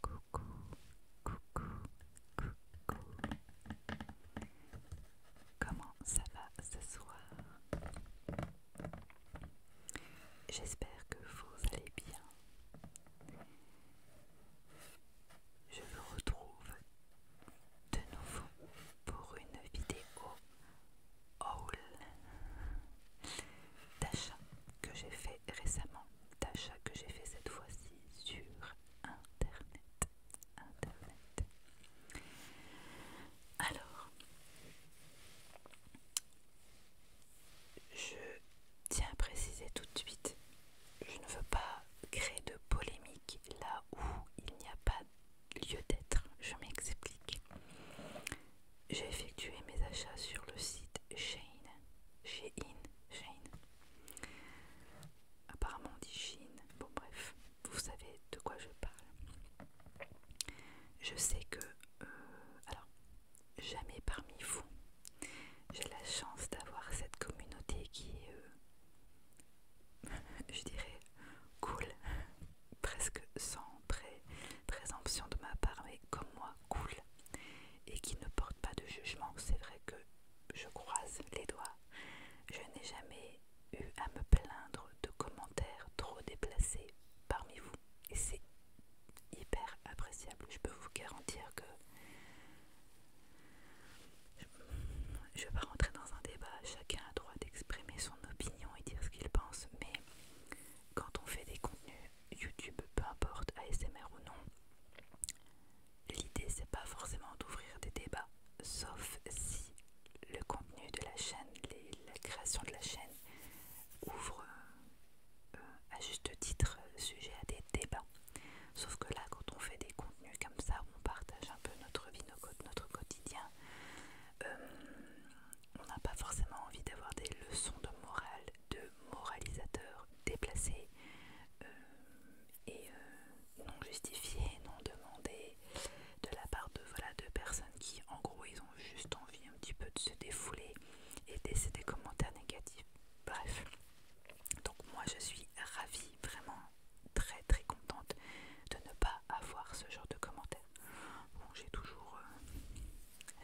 Coucou, coucou, coucou. Comment ça va ce soir J'espère que vous allez bien. Je vous retrouve de nouveau pour une vidéo haul d'achat que j'ai fait récemment, d'achat que j'ai fait cette fois-ci sur internet. Internet. Alors, je tiens à préciser tout de suite, je ne veux pas créer de polémique là où il n'y a pas lieu d'être. Je m'explique. J'ai effectué mes achats sur le site Shein. Shein. Shein. Apparemment on dit Shein. Bon bref, vous savez de quoi je parle. Je sais que... Euh, alors, jamais parmi vous. J'ai la chance d'avoir cette communauté qui est euh, je dirais, cool, presque sans présomption de ma part, mais comme moi, cool, et qui ne porte pas de jugement. C'est vrai que je croise les doigts. Je n'ai jamais eu à me plaindre de commentaires trop déplacés parmi vous, et c'est hyper appréciable. Je peux vous garantir que je ne vais pas rentrer dans un débat, chacun a droit d'exprimer son opinion et dire ce qu'il pense, mais quand on fait des contenus YouTube, peu importe, ASMR ou non, l'idée c'est pas forcément d'ouvrir des débats, sauf si le contenu de la chaîne, la création de la chaîne ouvre euh, à juste titre sujet à des débats. Sauf que là, quand on fait des contenus comme ça, on partage un peu notre vie, notre quotidien, euh, on n'a pas forcément envie d'avoir des leçons de morale, de moralisateurs déplacés euh, et euh, non justifiés, non demandés de la part de, voilà, personnes qui en gros ils ont juste envie un petit peu de se défouler et laisser des commentaires négatifs. Bref, donc moi je suis ravie vraiment très très contente de ne pas avoir ce genre de commentaires. Bon, j'ai toujours, euh,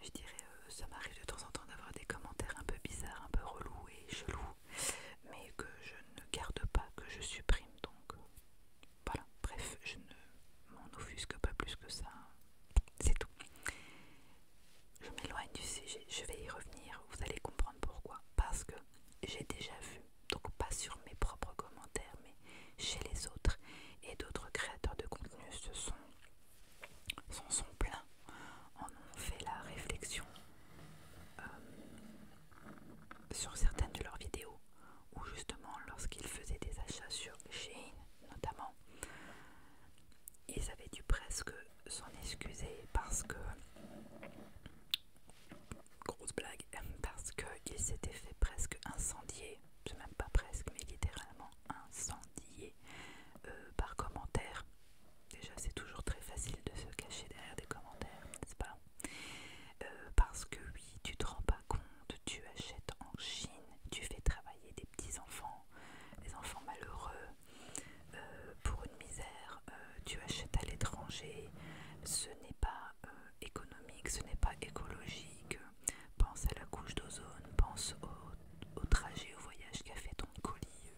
je dirais, euh, ça m'arrive de temps en temps d'avoir des commentaires un peu bizarres, un peu relous et chelous, mais que je ne garde pas, que je supprime. Donc euh, voilà, bref, je ne m'en offusque pas plus que ça. C'est tout. Je m'éloigne du sujet, je vais y revenir, vous allez comprendre pourquoi. Parce que j'ai déjà vu donc pas sur mes propres commentaires, mais chez les autres. Et d'autres créateurs de contenu se sont, sont pleins, en ont fait la réflexion euh, sur certaines de leurs vidéos, ou justement lorsqu'ils faisaient des achats sur Shein notamment, ils avaient dû presque s'en excuser parce que grosse blague, parce qu'il s'était fait presque incendier, c'est même pas presque, mais littéralement incendié euh, par commentaire Déjà, c'est toujours très facile de se cacher derrière des commentaires, n'est-ce pas euh, Parce que oui, tu te rends pas compte, tu achètes en Chine, tu fais travailler des petits enfants, des enfants malheureux, euh, pour une misère euh, tu achètes à l'étranger, ce n'est pas euh, économique, ce n'est pas écologique, pense à la couche d'ozone, pense au, trajet, au voyage qu'a fait ton colis,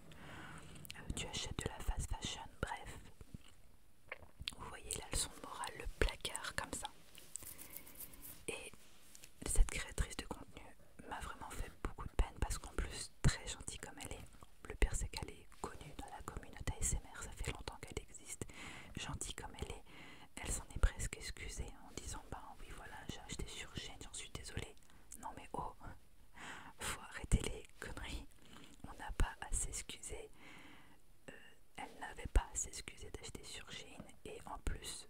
euh, tu achètes de la fast fashion, bref. Vous voyez la leçon morale, le placard comme ça. Et cette créatrice de contenu m'a vraiment fait beaucoup de peine parce qu'en plus, très gentille comme elle est, le père qu'elle est connue dans la communauté ASMR, ça fait longtemps qu'elle existe. Gentille comme elle est, elle s'en est presque excusée en disant Bah oui, voilà, j'ai acheté sur chaîne, j'en suis désolée. Non mais oh, faut arrêter les conneries. On n'a pas à s'excuser. Euh, elle n'avait pas à s'excuser d'acheter sur Shein et en plus,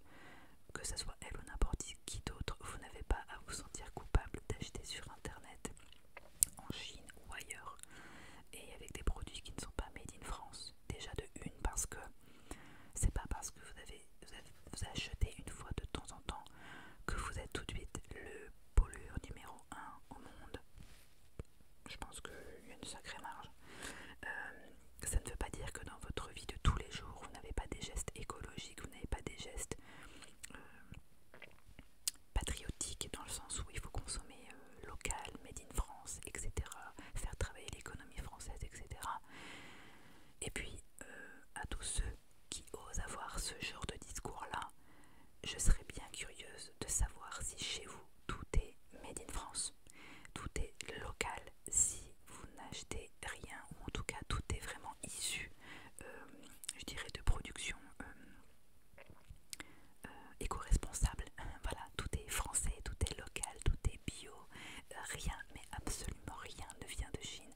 que ce soit elle ou n'importe qui d'autre, vous n'avez pas à vous sentir coupable d'acheter sur internet en Chine ou ailleurs et avec des produits qui ne sont pas made in France. Déjà de une parce que c'est pas parce que vous avez, vous achetez une fois de temps en temps que vous êtes tout de suite le pollueur numéro 1 au monde. Je pense qu'il y a une sacrée marge. Euh, ça ne veut pas dire que dans votre vie de tous les jours, vous n'avez pas des gestes écologiques, vous n'avez pas des gestes euh, patriotique dans le sens où il faut consommer euh, local, made in France, etc. Faire travailler l'économie française, etc. Et puis euh, à tous ceux qui osent avoir ce genre de discours-là, je serais bien curieuse de savoir si chez vous tout est made in France, tout est local, si vous n'achetez rien, ou en tout cas tout est vraiment issu, euh, je dirais, de production euh, éco-responsable. Hein, voilà, tout est français, tout est local, tout est bio. Euh, rien, mais absolument rien ne vient de Chine.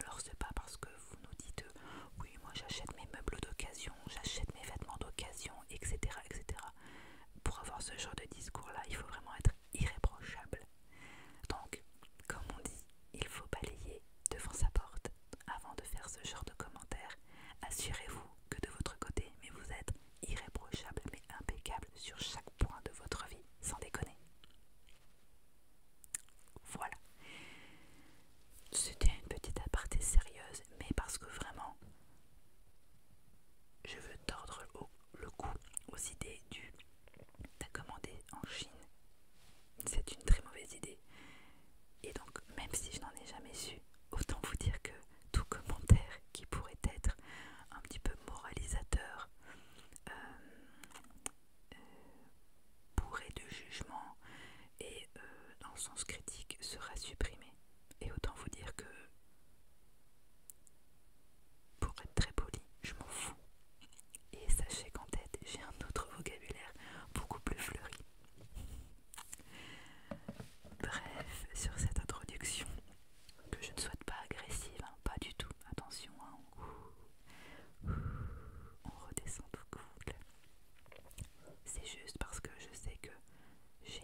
Alors c'est pas parce que vous nous dites euh, oui, moi j'achète mes meubles d'occasion, j'achète mes vêtements d'occasion, etc., etc. Pour avoir ce genre de discours-là, il faut vraiment être irréprochable. Donc, comme on dit, il faut balayer devant sa porte avant de faire ce genre de commentaires, assurez-vous que de votre côté, mais vous êtes irréprochable mais impeccable sur chaque point de votre vie, sans déconner. Voilà. C'était une petite aparté sérieuse, mais parce que vraiment, je veux tordre le coup aux idées du en Chine. C'est une très mauvaise idée. Et donc, même si je n'en ai jamais su, autant vous dire que tout commentaire qui pourrait être un petit peu moralisateur, euh, euh, bourré de jugement et euh, dans le sens critique sera supprimé. Et autant vous dire que, pour être très poli, je m'en fous. Et sachez qu'en tête, j'ai un autre vocabulaire beaucoup plus fleuri. Bref, sur cette introduction, que je ne souhaite pas agressive, hein, pas du tout, attention, hein, on... redescend tout cool. C'est juste parce que je sais que j'ai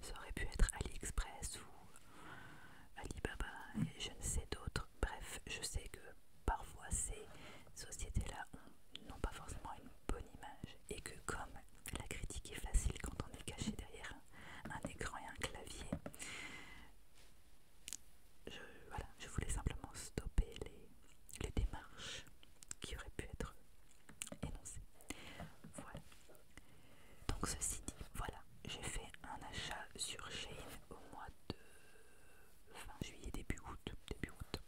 Ça aurait pu être AliExpress ou Alibaba et je ne sais d'autres. Bref, je sais que parfois ces sociétés-là n'ont pas forcément une bonne image et que comme la critique est facile quand on est caché derrière un écran et un clavier, je, voilà, je voulais simplement stopper les, démarches qui auraient pu être énoncées. Voilà. Donc ceci dit, voilà, j'ai fait un achat sur chain au mois de fin juillet, début août, début août.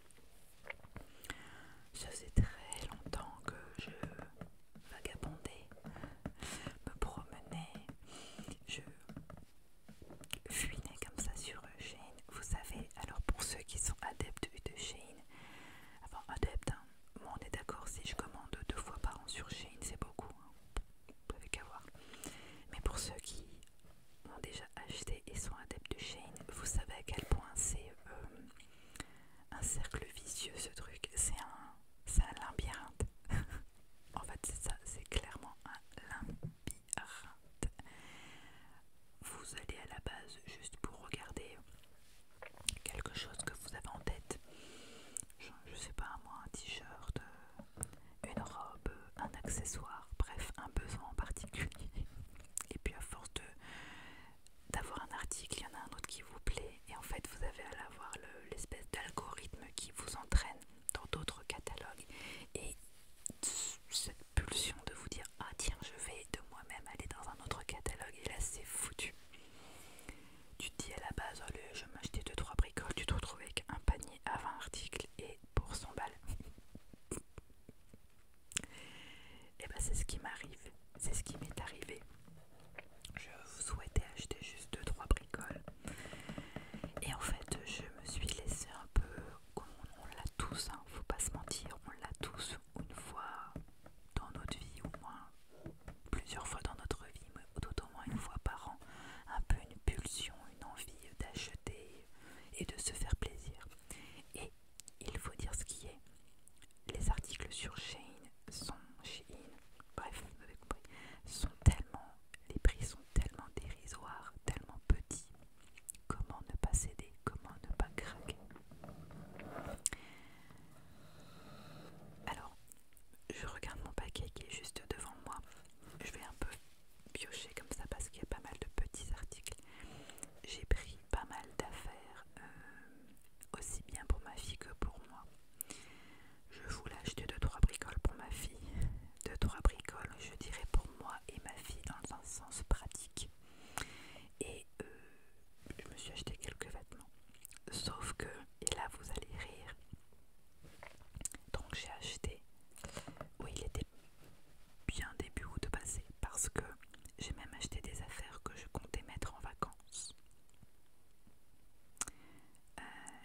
Ça faisait très longtemps que je vagabondais, me promenais, je fuinais comme ça sur Shane. Vous savez, alors pour ceux qui sont adeptes de Shane, enfin adeptes, hein, on est d'accord, si je commande deux fois par an sur Shane c'est beaucoup, hein, vous Mais pour ceux qui ont déjà acheté et sont adeptes de Shane, vous savez à quel point c'est euh, un cercle vicieux ce truc. C'est un, un labyrinthe. en fait, c'est ça, c'est clairement un labyrinthe. Vous allez à la base juste pour regarder quelque chose que vous avez en tête. Je, ne sais pas, moi, un t-shirt, euh, une robe, un accessoire, bref, un besoin en particulier. Et puis à force d'avoir un article, il y en a un autre qui vous plaît. Et en fait, vous avez à l'avoir l'espèce d'algorithme qui vous entraîne dans d'autres catalogues. Et cette pulsion de vous dire Ah tiens, je vais de moi-même aller dans un autre catalogue. Et là, c'est foutu. Tu te dis à la base, allez, je vais m'acheter 2-3 bricoles, tu te retrouves avec un panier à 20 articles et pour 100 balles. Et eh bah ben, c'est ce qui m'arrive, c'est ce qui m'est arrivé. Je souhaitais acheter juste 2-3 bricoles. Et en fait, je me suis laissé un peu, comme on, l'a tous, ne hein, faut pas se mentir, on l'a tous une fois dans notre vie, au moins plusieurs fois dans notre vie, mais tout au moins une fois par an, un peu une pulsion, une envie d'acheter et de se faire plaisir il faut dire ce qui est. Les articles sur Shein sont bref, sont tellement, les prix sont tellement dérisoires, tellement petits. Comment ne pas céder Comment ne pas craquer Alors, je regarde mon paquet qui est juste devant moi. Je vais un peu piocher comme ça parce qu'il y a pas mal de petits articles j'ai pris pas mal d'affaires, euh, aussi bien pour ma fille que pour moi. Je voulais acheter 2-3 bricoles pour ma fille, 2-3 bricoles, je dirais pour moi et ma fille dans un sens pratique. Et euh, je me suis acheté quelques vêtements. Sauf que, et là vous allez rire, donc j'ai acheté, oui il était bien début de passé parce que j'ai même acheté des affaires que je comptais mettre en vacances. Euh,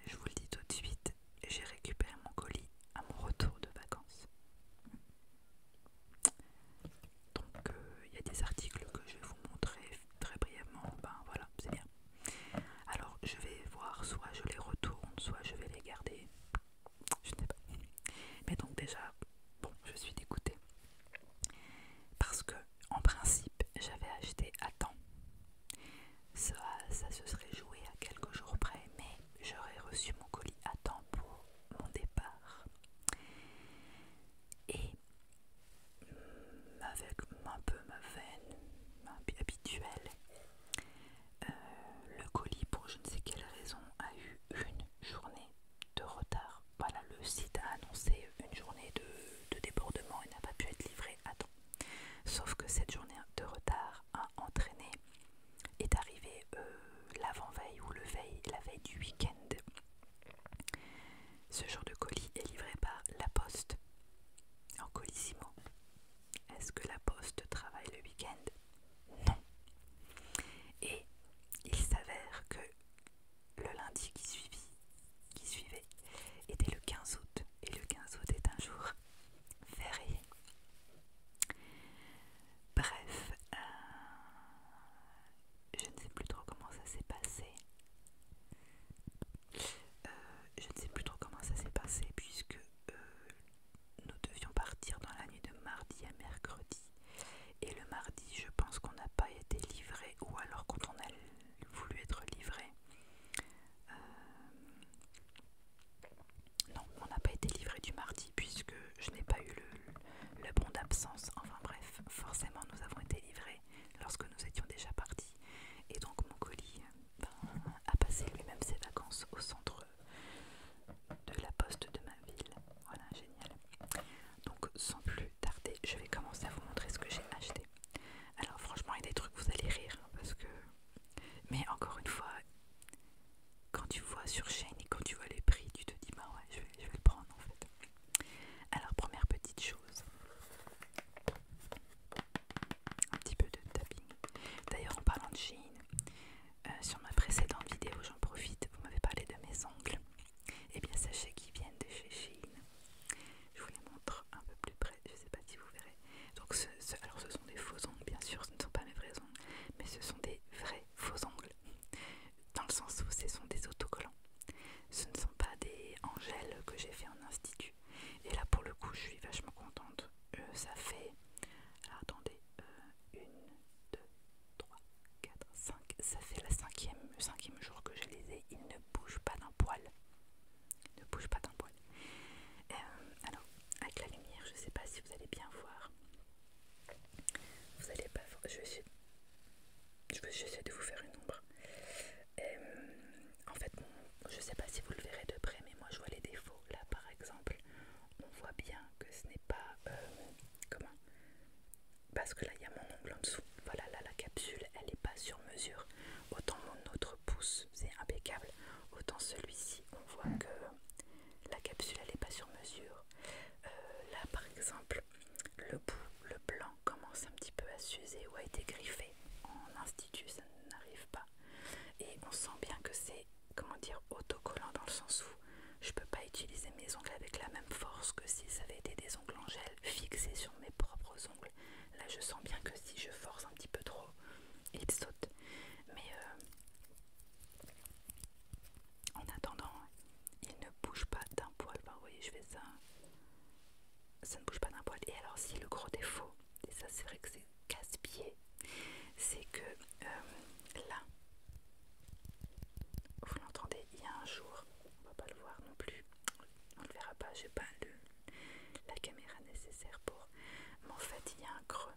je vous le dis tout de suite, j'ai récupéré mon colis à mon retour de vacances. Donc euh, il y a des articles que je vais vous montrer très brièvement, ben voilà, c'est bien. Alors je vais voir, soit je les retourne, soit je vais les garder. Je ne sais pas. Mais donc déjà, bon, je suis dégoûtée. Parce que, en principe, j'avais acheté à temps. Ça, ça se serait joué à quelques jours près, mais j'aurais reçu mon colis à temps pour mon départ. Et avec un peu ma veine habituelle, euh, le colis, pour je ne sais quelle raison, a eu une journée de retard. Voilà, le site a annoncé une journée de, débordement et n'a pas pu être livré à temps. Sauf que cette journée de retard a entraîné est arrivée euh, l'avant-veille ou le veille, la veille du week-end. Ce genre de colis est livré par La Poste en colisimo. Est-ce que La Poste travaille le week-end non. Et il s'avère que le lundi qui suivit, qui suivait, était le 15 août, et le 15 août est un jour férié. Bref, euh, je ne sais plus trop comment ça s'est passé. Euh, je ne sais plus trop comment ça s'est passé puisque euh, nous devions partir dans la nuit de mardi à mercredi. Et le mardi, je pense qu'on n'a pas été livré, ou alors quand on a voulu être livré. Euh, non, on n'a pas été livré du mardi puisque je n'ai pas eu le, bon d'absence. Enfin bref, forcément, nous avons été livrés lorsque nous étions déjà partis. Et donc mon colis euh, a passé lui-même ses vacances au centre de la poste de ma ville. Voilà, génial. Donc sans plus tarder, je vais commencer à vous montrer ce que j'ai acheté. Alors franchement, il y a des trucs, vous allez rire, hein, parce que... Mais encore une fois, quand tu vois sur chaîne et quand tu vois les prix, tu te dis, bah ouais, je vais, le prendre en fait. Alors première petite chose, un petit peu de tapping. D'ailleurs en parlant de Chine, euh, sur ma précédente vidéo, j'en profite, vous m'avez parlé de mes ongles. Eh bien, sachez qu'ils viennent de chez Shein. Je vous les montre un peu plus près, je sais pas si vous verrez. Donc, ce, alors ce sont des faux ongles, bien sûr, ce ne sont pas mes vrais ongles, mais ce sont des vrais faux ongles. Dans le sens où ce sont des autocollants. Ce ne sont pas des angèles que j'ai fait en institut. Et là, pour le coup, je suis vachement contente. Euh, ça fait... attendez. Euh, une, deux... 3, 4, 5. Ça fait la le cinquième jour que je les ai. Ils ne bougent pas d'un poil. Ils ne bougent pas d'un poil. Euh, alors, avec la lumière, je ne sais pas si vous allez bien voir. Vous allez pas Je vais essayer, je vais essayer de vous faire une ombre. Euh, en fait, je ne sais pas si vous le verrez de près, mais moi je vois les défauts. Là, par exemple, on voit bien que ce n'est pas... Euh, comment parce que là il y a mon ongle en dessous. Voilà, là la capsule elle est pas sur mesure. Autant mon autre pouce c'est impeccable, autant celui-ci on voit que la capsule elle n'est pas sur mesure. Euh, là par exemple, le bout, le blanc commence un petit peu à s'user ou a été griffé en institut, ça n'arrive pas. Et on sent bien que c'est comment dire, autocollant dans le sens où je peux pas utiliser mes ongles avec la même force que si ça avait été des ongles en gel fixés sur mes propres ongles. Là, je sens bien que si je force un petit peu trop, il saute. Mais euh, en attendant, il ne bouge pas d'un poil. vous voyez, je fais ça. Ça ne bouge pas d'un poil. Et alors, si le gros défaut, et ça c'est vrai que c'est casse-pied, c'est que euh, là, vous l'entendez, il y a un jour, on va pas le voir non plus, on le verra pas, j'ai pas la caméra nécessaire pour. Mais en fait, il y a un creux.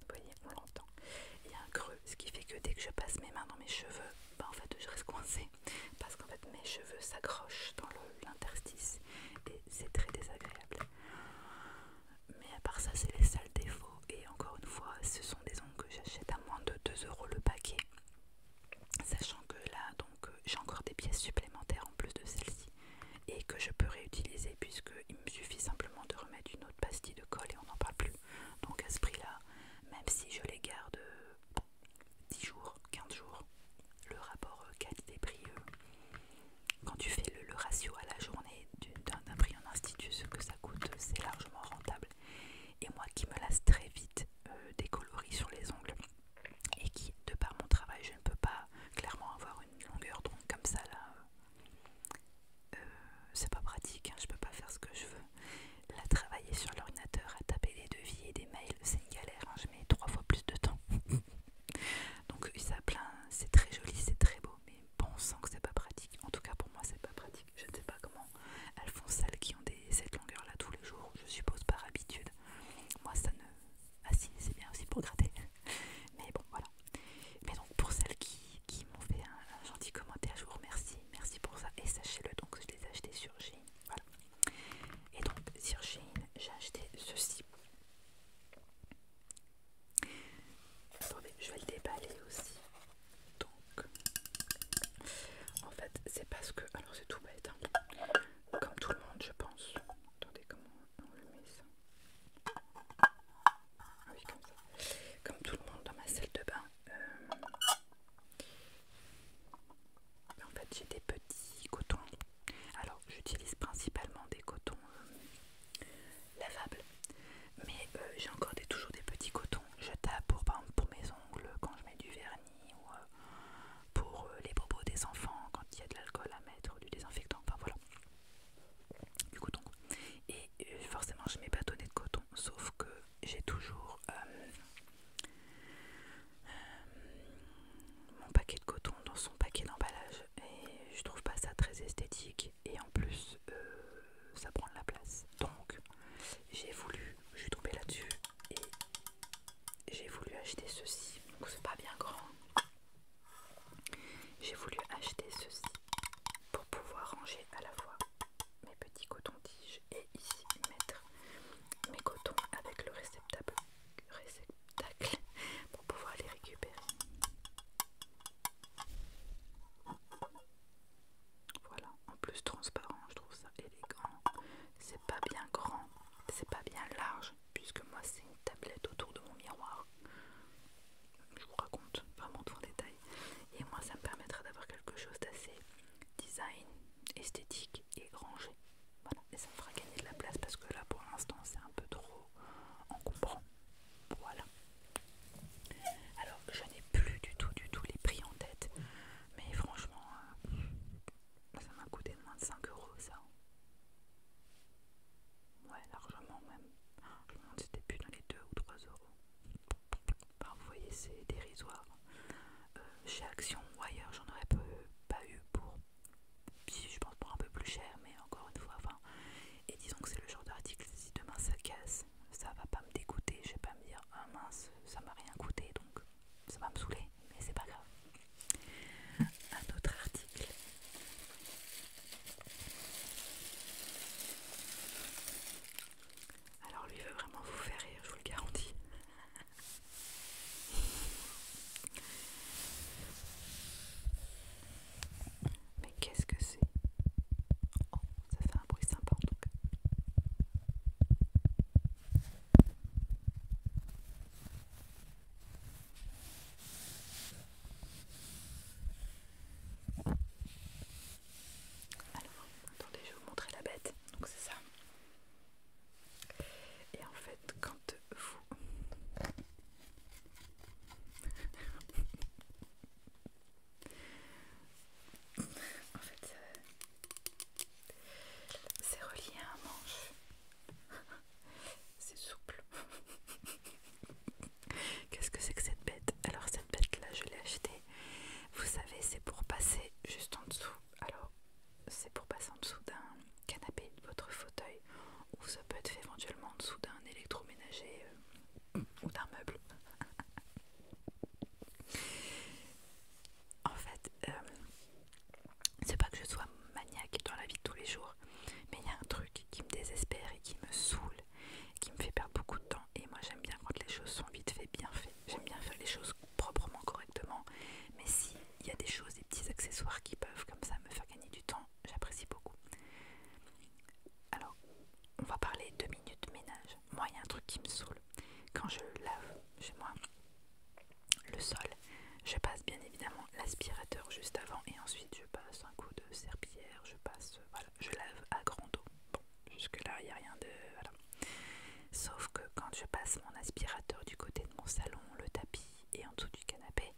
Vous voyez, on l'entend. Il y a un creux, ce qui fait que dès que je passe mes mains dans mes cheveux, bah en fait je reste coincée. Parce qu'en fait mes cheveux s'accrochent dans l'interstice et c'est très désagréable mais à part ça c'est les sales défauts et encore une fois ce sont des ongles que j'achète à moins de 2 euros le paquet sachant que là donc euh, j'ai encore des pièces supplémentaires en plus de celle-ci et que je peux réutiliser puisque il me suffit simplement de remettre une autre pastille de colle et on n'en parle plus donc à ce prix là même si je les garde 10 euh, jours 15 jours le rapport euh, qualité prix quand tu fais le, le ratio à la journée d'un prix institut, ce que ça coûte, c'est largement rentable. Et moi qui me lasse très vite euh, des coloris sur les ongles et qui, de par mon travail, je ne peux pas clairement avoir une longueur donc comme ça là, euh, euh, c'est pas pratique, hein, je peux pas faire ce que je veux. la travailler sur l'ordinateur à taper des devis et des mails, c'est une galère, hein, je mets trois fois plus de temps. donc ça plein, c'est très joli, c'est très beau, mais pensant sent que c'est pas pratique. En tout cas pour moi c'est pas pratique. Je ne sais pas comment elles font celles qui ont des, cette longueur là tous les jours. Je suppose par habitude. Moi ça ne... Ah si c'est bien aussi pour gratter. Mais bon voilà. Mais donc pour celles qui, m'ont fait un, gentil commentaire, je vous remercie. Merci pour ça. Et sachez-le donc je les ai achetées sur Shein. Voilà. Et donc sur Shein j'ai acheté ceci. Attendez, je vais le déballer aussi. Donc, en fait, c'est parce que. Alors, c'est tout bête, hein. comme tout le monde, je pense. Attendez, comment on le met ça ah oui, comme ça. Comme tout le monde dans ma salle de bain. Euh, en fait, j'ai des petits cotons. Alors, j'utilise principalement des cotons euh, lavable. Mais euh, j'ai encore toujours des petits cotons Je tape pour, par pour mes ongles quand je mets du vernis ou euh, pour euh, les propos des enfants quand il y a de l'alcool à mettre, du désinfectant, enfin voilà. Du coton. Et forcément je mets pas de coton, sauf que j'ai toujours mon paquet de coton dans son paquet d'emballage et je trouve pas ça très esthétique et en plus ça prend de la place. Donc, j'ai voulu, je suis tombée là-dessus et j'ai voulu acheter ceci. Donc, c'est pas bien grand. J'ai voulu acheter ceci pour pouvoir ranger à la fois mes petits cotons-tiges et ici mettre mes cotons avec le réceptacle, réceptacle pour pouvoir les récupérer. Voilà, en plus transparent, je trouve ça élégant. C'est pas bien grand, c'est pas bien large, puisque moi c'est une tablette autour de mon miroir. Je vous raconte vraiment trop en détails. Et moi ça me permettra d'avoir quelque chose d'assez design, esthétique et rangé. Voilà, et ça me fera gagner de la place parce que là pour l'instant c'est un peu trop encombrant. Voilà. Alors, je n'ai plus du tout, du tout les prix en tête. Mais franchement, euh, ça m'a coûté moins de 5 euros, ça. Ouais, largement même. Je me demande si c'était plus dans les 2 ou 3 euros. vous voyez, c'est dérisoire. Euh, chez Action ou ailleurs, j'en aurais pas eu pour, si je pense, pour un peu plus cher, mais encore une fois, enfin, et disons que c'est le genre d'article, si demain ça casse, ça va pas me dégoûter, je vais pas me dire ah mince, ça m'a rien coûté donc ça va me saouler, mais c'est pas grave. Un autre article. Alors lui veut vraiment vous faire rire, je vous le garantis. Mais qu'est-ce que c'est Oh, ça fait un bruit sympa en tout cas. Alors, attendez, je vais vous montrer la bête. Donc c'est ça. Et en fait, quand vous en fait, c'est relié à un manche. c'est souple. Qu'est-ce que c'est que cette bête Alors, cette bête-là, je l'ai achetée. Vous savez, c'est pour passer juste en dessous. Alors, c'est pour passer en dessous d'un canapé, de votre fauteuil, ou ça peut être fait éventuellement en dessous d'un électroménager. Euh, ou d'un meuble. en fait, euh, c'est pas que je sois maniaque dans la vie de tous les jours, mais il y a un truc qui me désespère et qui me saoule, qui me fait perdre beaucoup de temps. Et moi, j'aime bien quand les choses sont vite fait, bien fait, J'aime bien faire les choses proprement, correctement. Mais si il y a des choses, des petits accessoires qui peuvent comme ça me faire gagner du temps, j'apprécie beaucoup. Alors, on va parler deux minutes ménage. Moi, il y a un truc qui me saoule. Quand je lave chez moi le sol, je passe bien évidemment l'aspirateur juste avant et ensuite je passe un coup de serpillière, je passe, euh, voilà, je lave à grand dos. Bon, jusque-là, il n'y a rien de. Voilà. Sauf que quand je passe mon aspirateur du côté de mon salon, le tapis et en dessous du canapé,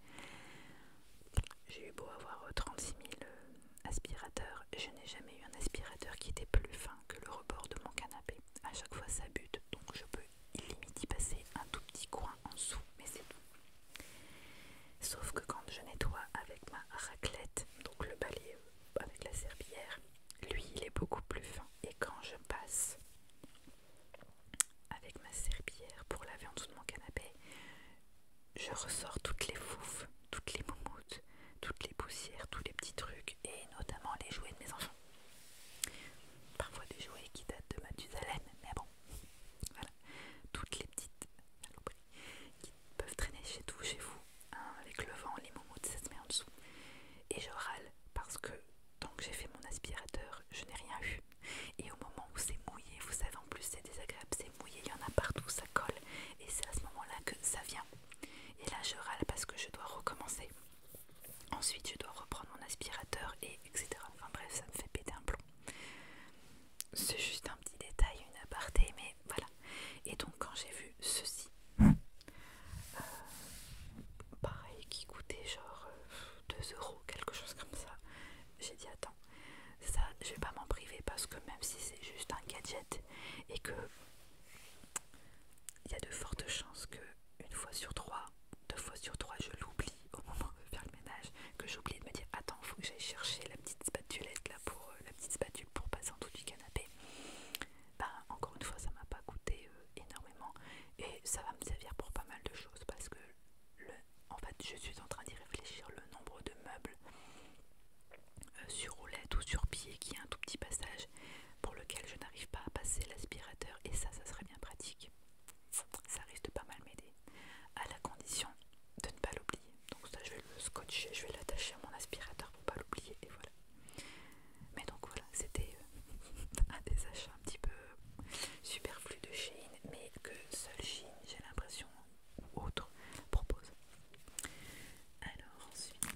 j'ai eu beau avoir 36 000 euh, aspirateurs, je n'ai jamais eu un aspirateur qui était plus fin que le rebord de mon canapé. À chaque fois, ça bute, donc je peux limite y passer un tout petit coin en dessous, mais c'est tout. Sauf que quand je nettoie avec ma raclette, donc le balai euh, avec la serpillière, lui il est beaucoup plus fin. Et quand je passe avec ma serpillière pour laver en dessous de mon canapé, je ressors toutes les foufes, toutes les moumoutes, toutes les poussières, tous les petits trucs, et notamment les jouets de mes enfants. Parfois des jouets qui datent de Mathusalem, mais bon, voilà. Toutes les petites qui peuvent traîner chez tout, chez vous, hein, avec le vent, les moumoutes, ça se met en dessous. Et je râle parce que tant que j'ai fait mon aspirateur, je n'ai rien vu. Et au moment où c'est mouillé, vous savez, en plus c'est désagréable, mouillé, il y en a partout, ça colle. Et c'est à ce moment-là que ça vient. Et là, je râle parce que je dois recommencer. Ensuite, je dois reprendre mon aspirateur et etc. Enfin bref, ça me fait péter un plomb. C'est juste un petit détail, une aparté, mais voilà. Et donc, quand j'ai vu ceci, euh, pareil, qui coûtait genre 2 euh, euros, quelque chose comme ça, j'ai dit attends ça, je vais pas m'en priver parce que même si c'est juste un gadget et que il y a de fortes chances que une fois sur trois, deux fois sur trois, je l'oublie au moment de faire le ménage, que j'oublie de me dire attends, faut que j'aille chercher la petite spatulette là pour euh, la petite spatule pour passer en dessous du canapé. Bah encore une fois, ça m'a pas coûté euh, énormément et ça va me servir pour pas mal de choses parce que en fait, je suis en train d'y réfléchir le nombre de meubles euh, sur roulette ou sur pied qui a un tout petit passage pour lequel je n'arrive pas à passer l'aspirateur et ça ça serait bien pratique ça risque de pas mal m'aider à la condition de ne pas l'oublier donc ça je vais le scotcher je vais l'attacher à mon aspirateur pour pas l'oublier et voilà mais donc voilà c'était euh, un des achats un petit peu superflu de Shein mais que seul Shein j'ai l'impression autre propose. Alors ensuite...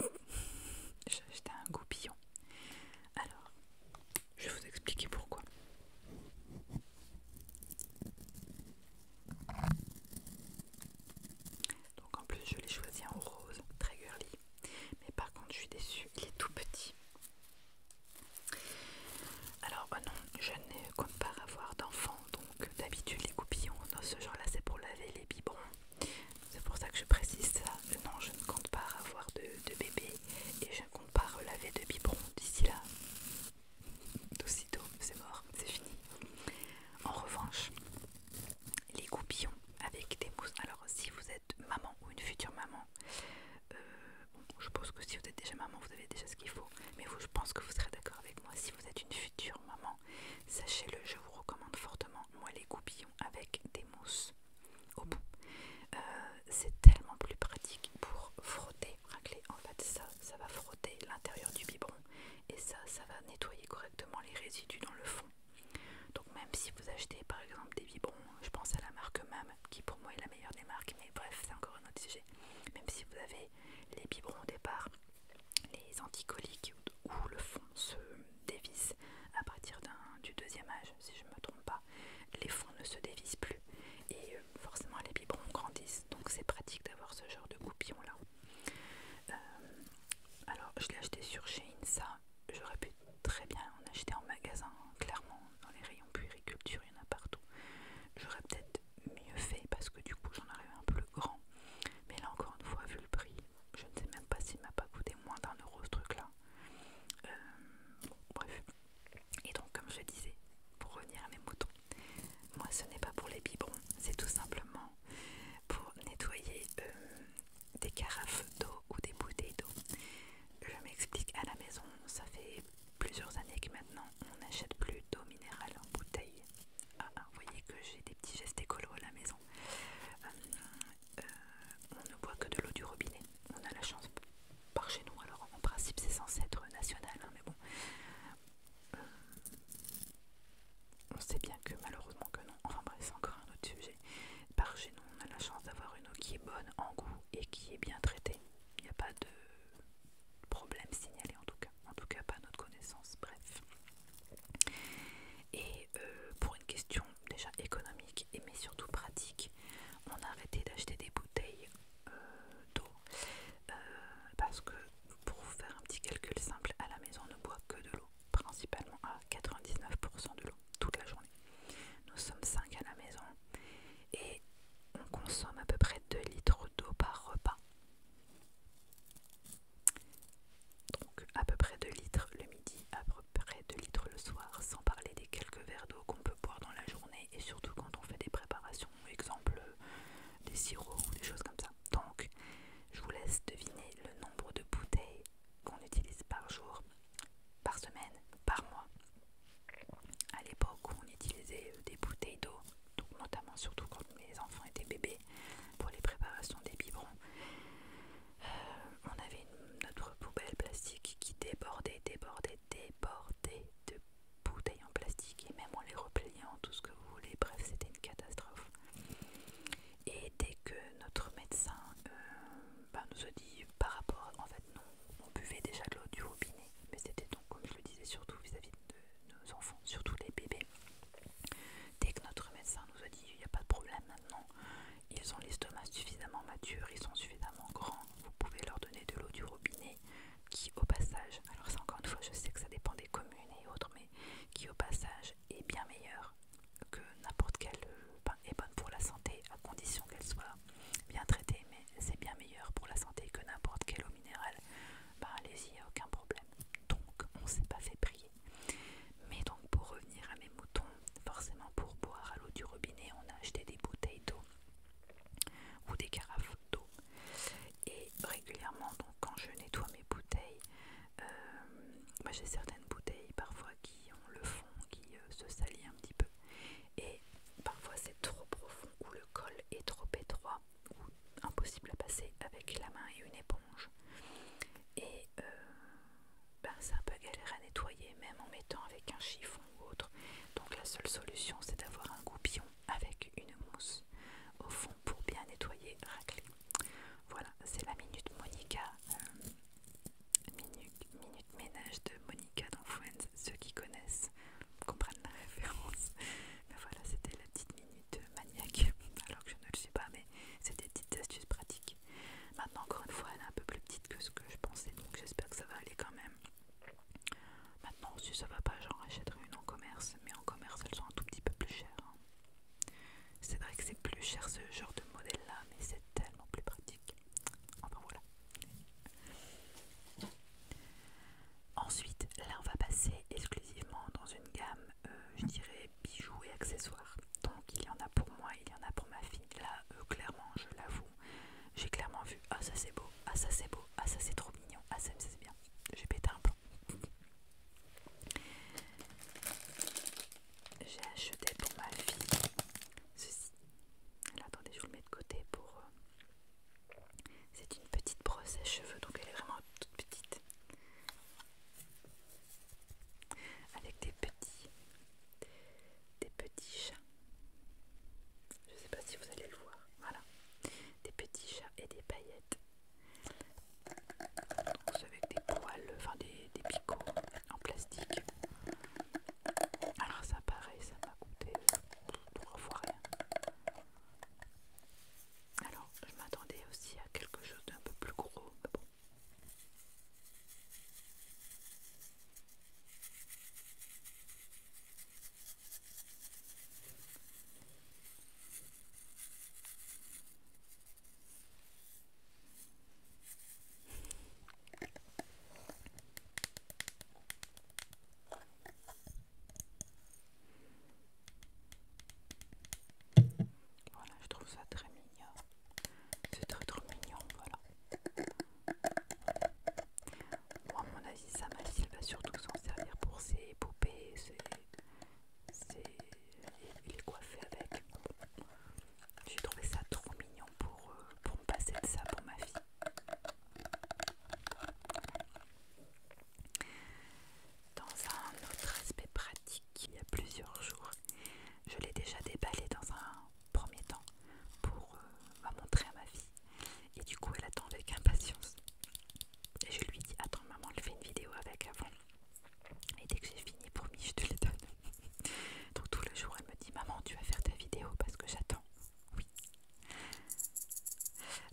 J'ai acheté un goupillon. Alors, je vais vous expliquer pourquoi. Donc en plus je l'ai choisi en rose, très girly. Mais par contre, je suis déçue, il est tout petit. Alors, oh non, je ne compte pas avoir d'enfants, donc d'habitude, les goupillons, dans ce genre-là, c'est pour laver les biberons. C'est pour ça que je précise ça. Non, je ne compte pas avoir de, de bébé et je ne compte pas relaver de biberon d'ici là. D'aussitôt, c'est mort, c'est fini. En revanche, les goupillons avec des mousses. Alors si vous êtes maman ou une future maman, euh, je pense que si vous êtes déjà maman, vous avez déjà ce qu'il faut. Mais je pense que vous serez d'accord avec moi. Si vous êtes une future maman, sachez-le, je vous recommande fortement. Moi, les goupillons avec des mousses au bout, euh, c'est tellement plus pratique pour frotter, racler. En fait, ça, ça va frotter l'intérieur du biberon et ça, ça va nettoyer correctement les résidus dans le fond. Donc même si vous achetez par exemple des biberons, je pense à la marque MAM qui pour moi est la meilleure des marques, mais bref c'est encore un autre sujet. Même si vous avez les biberons au départ, les anticoliques ou le fond se dévisse à partir du deuxième âge, si je ne me trompe pas, les fonds ne se dévissent plus et euh, forcément les biberons grandissent, donc c'est pratique d'avoir ce genre de goupillon là. Euh, alors je l'ai acheté sur Shein, ça j'aurais pu très bien. On achetait en magasin, clairement, dans les rayons puériculture, il y en a partout. J'aurais peut-être mieux fait parce que du coup j'en avais un peu le grand. Mais là encore une fois, vu le prix, je ne sais même pas s'il m'a pas coûté moins d'un euro ce truc-là. Euh, bref. Et donc comme je disais, pour revenir à mes moutons, moi ce n'est pas pour les biberons, c'est tout simplement pour nettoyer euh, des carafes d'eau ou des bouteilles d'eau. Je m'explique, à la maison, ça fait plusieurs années que maintenant on n'achète plus d'eau minérale en bouteille. Ah, ah, vous voyez que j'ai des petits gestes écolo à la maison. Euh, euh, on ne boit que de l'eau du robinet. On a la chance par chez nous, alors en principe c'est censé être national, hein, mais bon. Euh, on sait bien que malheureusement que non. Enfin bref, c'est encore un autre sujet. Par, nous, on a la chance d'avoir une eau qui est bonne en goût et qui est bien traitée. Il n'y a pas de problème signalé en tout cas, en tout cas pas notre connaissance, bref. Et euh, pour une question déjà économique et mais surtout pratique, on a arrêté d'acheter des bouteilles euh, d'eau euh, parce que pour vous faire un petit calcul simple, à la maison on ne boit que de l'eau principalement à 99% de l'eau toute la journée. Nous sommes 5 à la maison et on consomme à peu près 2 litres d'eau par repas. Donc à peu près 2 litres le midi, à peu près 2 litres le soir, sans parler des quelques verres d'eau qu'on peut boire dans la journée et surtout quand on fait des préparations, exemple des sirops ou des choses comme ça. Donc je vous laisse deviner le nombre de bouteilles qu'on utilise par jour par semaine, par mois. À l'époque où on utilisait euh, des bouteilles d'eau, notamment surtout quand les enfants étaient bébés pour les préparations des biberons, euh, on avait notre poubelle plastique qui débordait, débordait, débordait de bouteilles en plastique et même on les repliait en tout ce que vous voulez. Bref, c'était une catastrophe. Et dès que notre médecin euh, ben, nous a dit par rapport, en fait non, on buvait déjà de l'eau du robinet, mais c'était donc comme je le disais surtout vis-à-vis de nos enfants, surtout les bébés. Dès que notre médecin nous a dit il n'y a pas de problème maintenant, ils ont l'estomac suffisamment mature, ils sont suffisamment grands, vous pouvez leur donner de l'eau du robinet qui au passage, alors ça encore une fois je sais que ça dépend des communes et autres, mais qui au passage est bien meilleure que n'importe quelle euh, pain est bonne pour la santé à condition qu'elle soit bien traitée, mais c'est bien meilleur pour la santé que n'importe quelle eau minérale. Ben, allez-y, aucun problème. Donc on s'est pas fait prier. Mais donc pour revenir à mes moutons, forcément pour boire à l'eau du robinet, on a acheté des bouteilles d'eau ou des carafes d'eau. Et régulièrement, donc quand je nettoie mes bouteilles, euh, moi j'ai certaines bouteilles parfois qui qui le fond qui euh, se salit un petit peu. Et parfois c'est trop profond ou le col est trop étroit ou impossible à passer avec la main et une éponge. Et ça euh, ben, c'est un peu galère à nettoyer même en mettant avec un chiffon ou autre. Donc la seule solution c'est d'avoir un goupillon avec une mousse au fond pour bien nettoyer, racler. Voilà, c'est la minute Monica. Euh, Minute, minute ménage de Monica dans Friends, ceux qui connaissent comprennent la référence. Mais voilà, c'était la petite minute maniaque, alors que je ne le sais pas, mais c'était des petites astuces pratiques. Maintenant, encore une fois, elle est un peu plus petite que ce que je pensais, donc j'espère que ça va aller quand même. Maintenant, si ça va pas, j'en achèterai une en commerce, mais en commerce, elles sont un tout petit peu plus chères. Hein. C'est vrai que c'est plus cher ce genre de modèle là, mais c'est tellement plus pratique. Ah ben voilà. Ensuite, là on va passer exclusivement dans une gamme, euh, je dirais bijoux et accessoires. Donc il y en a pour moi, il y en a pour ma fille. Là, euh, clairement, je l'avoue, j'ai clairement vu ah ça c'est beau, ah ça c'est beau, ah ça c'est trop mignon, ah ça c'est bien. J'ai pété un plan j'ai acheté pour ma fille ceci. attendez, je vous le mets de côté pour. Euh, c'est une petite brosse à cheveux, donc elle est vraiment toute petite. Avec des petits. Des petits chats. Je ne sais pas si vous allez le voir. Voilà. Des petits chats et des paillettes. Donc, avec des poils, enfin des, des en plastique. Alors ah, ça paraît, ça m'a coûté euh, trois fois rien. Alors je m'attendais aussi à quelque chose d'un peu plus gros, bon. Voilà, je trouve ça très mignon. C'est très trop mignon, voilà. Moi, à mon avis, ça va bah, surtout s'en servir pour ses poupées, ses... les coiffer avec. J'ai trouvé ça trop mignon pour, euh, pour me passer de ça pour ma fille. Dans un autre aspect pratique, il y a plusieurs jours, je l'ai déjà déballé dans un premier temps pour euh, bah, montrer à ma fille. Et du coup, elle attend avec impatience. Et je lui dis Attends, maman, elle fait une vidéo avec avant. Et dès que j'ai fini, pour promis, je te les donne. Donc tout le jour, elle me dit Maman, tu vas faire ta vidéo parce que j'attends. Oui.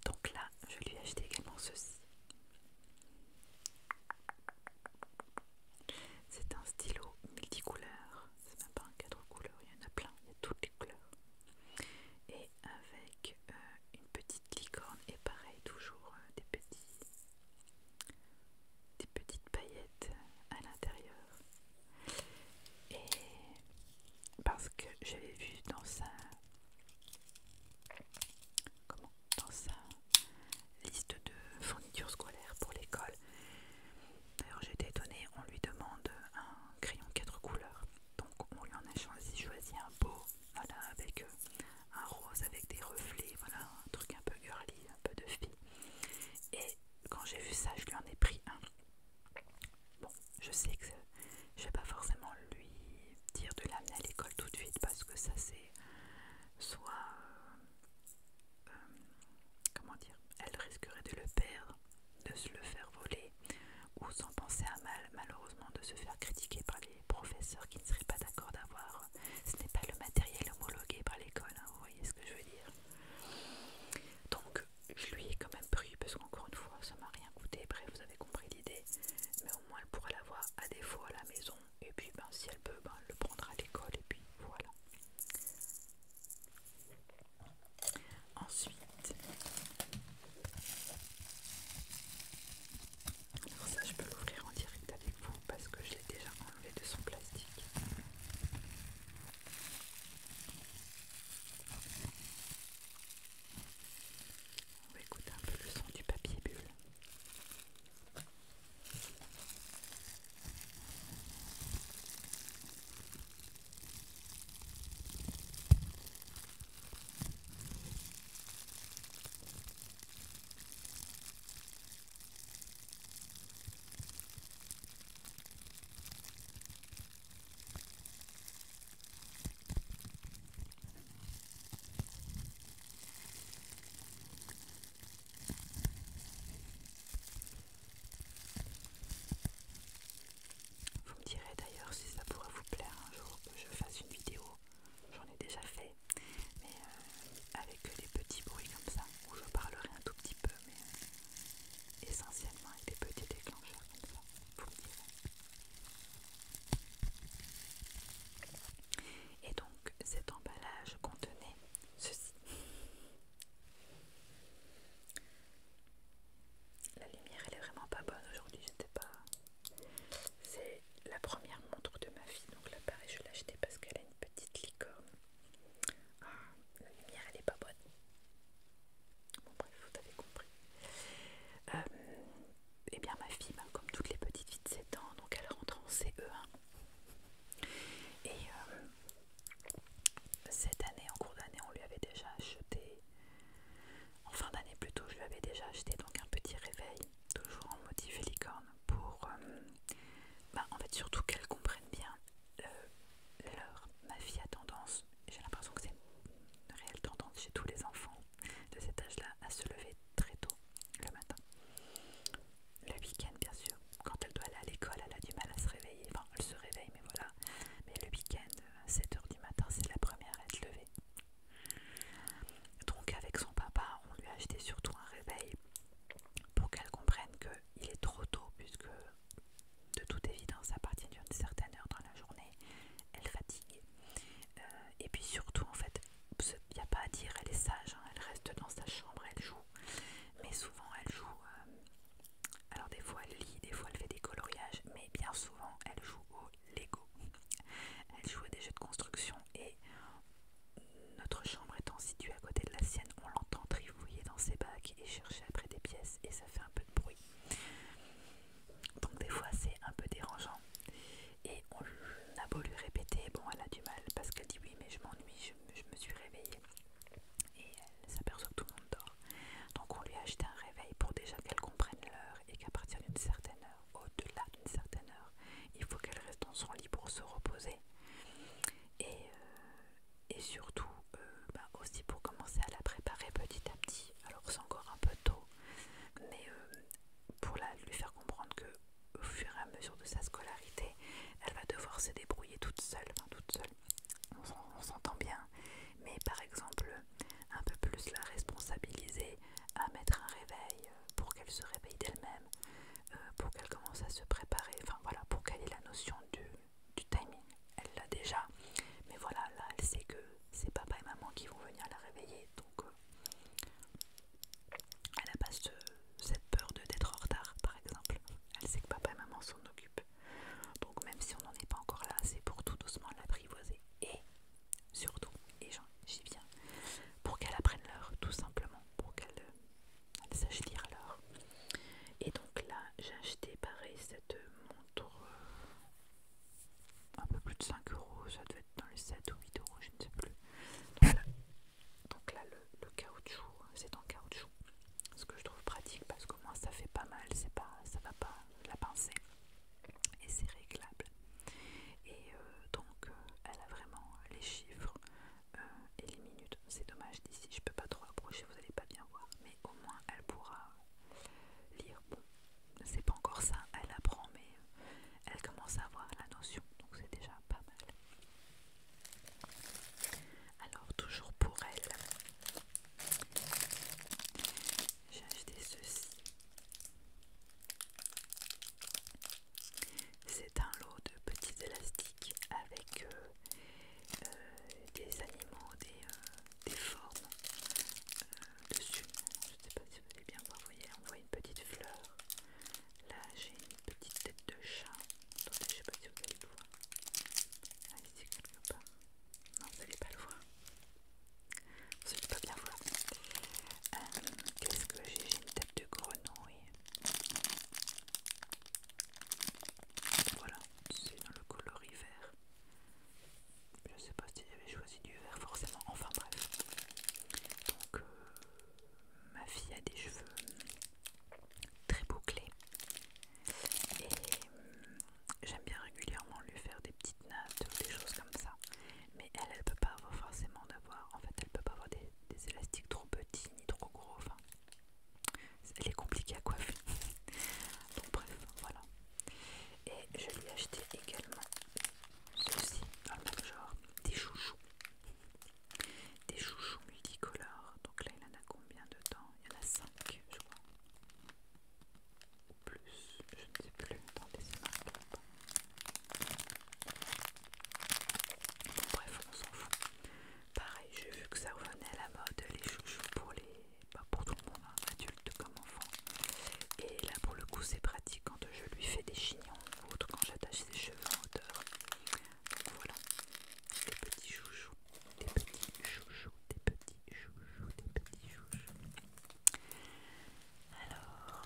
Donc là, je lui ai acheté également ceci. C'est un stylo multicouleur. C'est même pas un quatre couleurs, il y en a plein, il y a toutes les couleurs. Et avec euh, une petite licorne et pareil, toujours euh, des petits des petites paillettes à l'intérieur et parce que j'avais vu dans sa liste de fournitures scolaires pour l'école. D'ailleurs j'étais étonnée, on lui demande un crayon quatre couleurs. Donc on lui en a choisi, un beau, voilà, avec euh, un rose avec des reflets, voilà, un truc un peu girly, un peu de fille. Et quand j'ai vu ça, je lui en ai pris un. Bon, je sais que je vais pas forcément lui dire de l'amener à l'école tout de suite parce que ça c'est soit euh, euh, comment dire, elle risquerait de le perdre, de se le faire voler ou sans penser à mal, malheureusement de se faire critiquer par les professeurs qui ne seraient pas d'accord d'avoir. Ce n'est pas le matériel homologué par l'école, hein, vous voyez ce que je veux dire. Donc, je lui ai quand même pris, parce qu'encore une fois, ça m'a rien coûté. Bref, vous avez compris l'idée. Mais au moins, elle pourra l'avoir à défaut à la maison. Et puis, ben, si elle peut, ben, le prendra à l'école. Et puis, voilà. Ensuite, ça, je peux l'ouvrir en direct avec vous parce que je l'ai déjà enlever de son plastique. On va écouter un peu le son du papier bulle. Vous me direz d'ailleurs si ça pourrait vous plaire un jour que je fasse une vidéo, j'en ai déjà fait, mais euh, avec des petits bruits comme ça, où je parlerai un tout petit peu mais euh, essentiellement avec des petits déclencheurs comme ça, vous me direz. Et donc cet emballage contenait ceci. La lumière elle est vraiment pas bonne aujourd'hui, j'étais pas. C'est la première montre de ma fille, donc là pareil je l'ai acheté parce qu'elle a une petite licorne ah, la lumière elle est pas bonne. Bon bref, vous avez compris. et euh, eh bien ma fille, ben, comme toutes les petites filles de 7 ans, donc elle rentre en CE1. Et euh, cette année, en cours d'année, on lui avait déjà acheté, en fin d'année plutôt, je lui avais déjà acheté donc un petit réveil, toujours en motif licorne, pour euh, ben, en fait surtout qu'elle comprenne bien alors, Ma fille a tendance, j'ai l'impression que c'est une réelle tendance chez tous les enfants de cet âge-là, à se lever très tôt le matin. Le week-end, bien sûr, quand elle doit aller à l'école, elle a du mal à se réveiller. Enfin, elle se réveille, mais voilà. Mais le week-end, 7h du matin, c'est la première à être levée. Donc, avec son papa, on lui a acheté surtout un réveil pour qu'elle comprenne que il est trop tôt puisque de toute évidence à partir d'une certaine heure dans la journée elle fatigue euh, et puis surtout en fait il n'y a pas à dire elle est sage hein, elle reste dans sa chambre elle joue mais souvent elle joue euh, alors des fois elle lit des fois elle fait des coloriages mais bien souvent elle joue au Lego elle joue à des jeux de construction et notre chambre étant située à côté de la sienne, on l'entend trifouiller dans ses bacs et chercher après des pièces et ça fait un peu de bruit. Donc des fois c'est un peu dérangeant. Et on a beau lui répéter, bon elle a du mal parce qu'elle dit oui mais je m'ennuie, je, me suis réveillée. Et elle s'aperçoit que tout le monde dort. Donc on lui a acheté un réveil pour déjà qu'elle comprenne l'heure et qu'à partir d'une certaine heure, au-delà d'une certaine heure, il faut qu'elle reste dans son lit pour se reposer. Et euh, et surtout euh, bah, aussi pour commencer à la préparer petit à petit. Alors c'est encore un peu tôt, mais euh, pour lui faire comprendre que au fur et à mesure de sa scolarité, elle va devoir se débrouiller toute seule, toute seule. On s'entend bien, mais par exemple un peu plus la responsabiliser à mettre un réveil euh, pour qu'elle se réveille d'elle-même, euh, pour qu'elle commence à se préparer, enfin voilà, pour qu'elle ait la notion du, timing. Elle l'a déjà, mais voilà, là elle sait que c'est papa et maman qui vont venir la réveiller, donc euh, elle n'a pas cette peur d'être en retard par exemple. Elle sait que papa et maman s'en occupent, donc même si on n'en est pas encore là, c'est pour tout doucement l'apprivoiser et surtout, et j'y viens, pour qu'elle apprenne l'heure, tout simplement, pour qu'elle s'achetait alors. Et donc là, j'ai acheté pareil cette montre euh, un peu plus de 5 euros, ça devait être dans les 7 ou 8 euros, je ne sais plus. Donc là, le, caoutchouc, hein, c'est en caoutchouc, ce que je trouve pratique parce qu'au moins ça fait pas mal, c'est pas, ça va pas la pincer et c'est réglable. Et euh, donc euh, elle a vraiment les chiffres et euh, les minutes. C'est dommage d'ici, je peux pas trop approcher, vous allez pas bien voir, mais au moins elle pourra lire. Bon, c'est pas encore ça, elle apprend, mais euh, elle commence à avoir la notion, donc c'est déjà pas mal. Alors, toujours pour elle, j'ai acheté ceci. C'est un lot de petits élastiques avec euh, euh, des animaux, des, euh, des formes de euh, dessus. Je ne sais pas si vous allez bien voir, vous voyez, on voit une petite fleur. Là, j'ai une petite tête de chat. Attendez, je sais pas si vous allez le voir. Ah, ici, quelque part. Non, vous n'allez pas le voir. Vous n'allez pas bien voir. Qu'est-ce que j'ai J'ai une tête de grenouille. Voilà, c'est dans le coloris vert. Je sais pas si j'avais choisi du vert forcément, enfin bref. Donc, euh, ma fille a des cheveux très bouclés. Et euh, j'aime bien régulièrement lui faire des petites nattes ou des choses comme ça. Mais elle, elle peut pas avoir forcément d'avoir. En fait, elle peut pas avoir des, élastiques trop petits ni trop gros. Elle est compliquée à coiffer. Donc bref, voilà. Et je lui ai acheté également ceci dans le même genre, des chouchous. Des chouchous multicolores. Donc là, il en a combien de temps Il y en a 5, je crois. plus, je ne sais plus. dans des marqué bon, Bref, on s'en fout. Pareil, j'ai vu que ça revenait à la mode, les chouchous pour les. Bah, pour tout le monde, hein, adulte comme enfant. Et là pour le coup c'est pratique quand je lui fais des chignons ou autre, quand j'attache ses cheveux en hauteur. Donc voilà, des petits chouchous, des petits chouchous, des petits chouchous, des petits chouchous. Alors,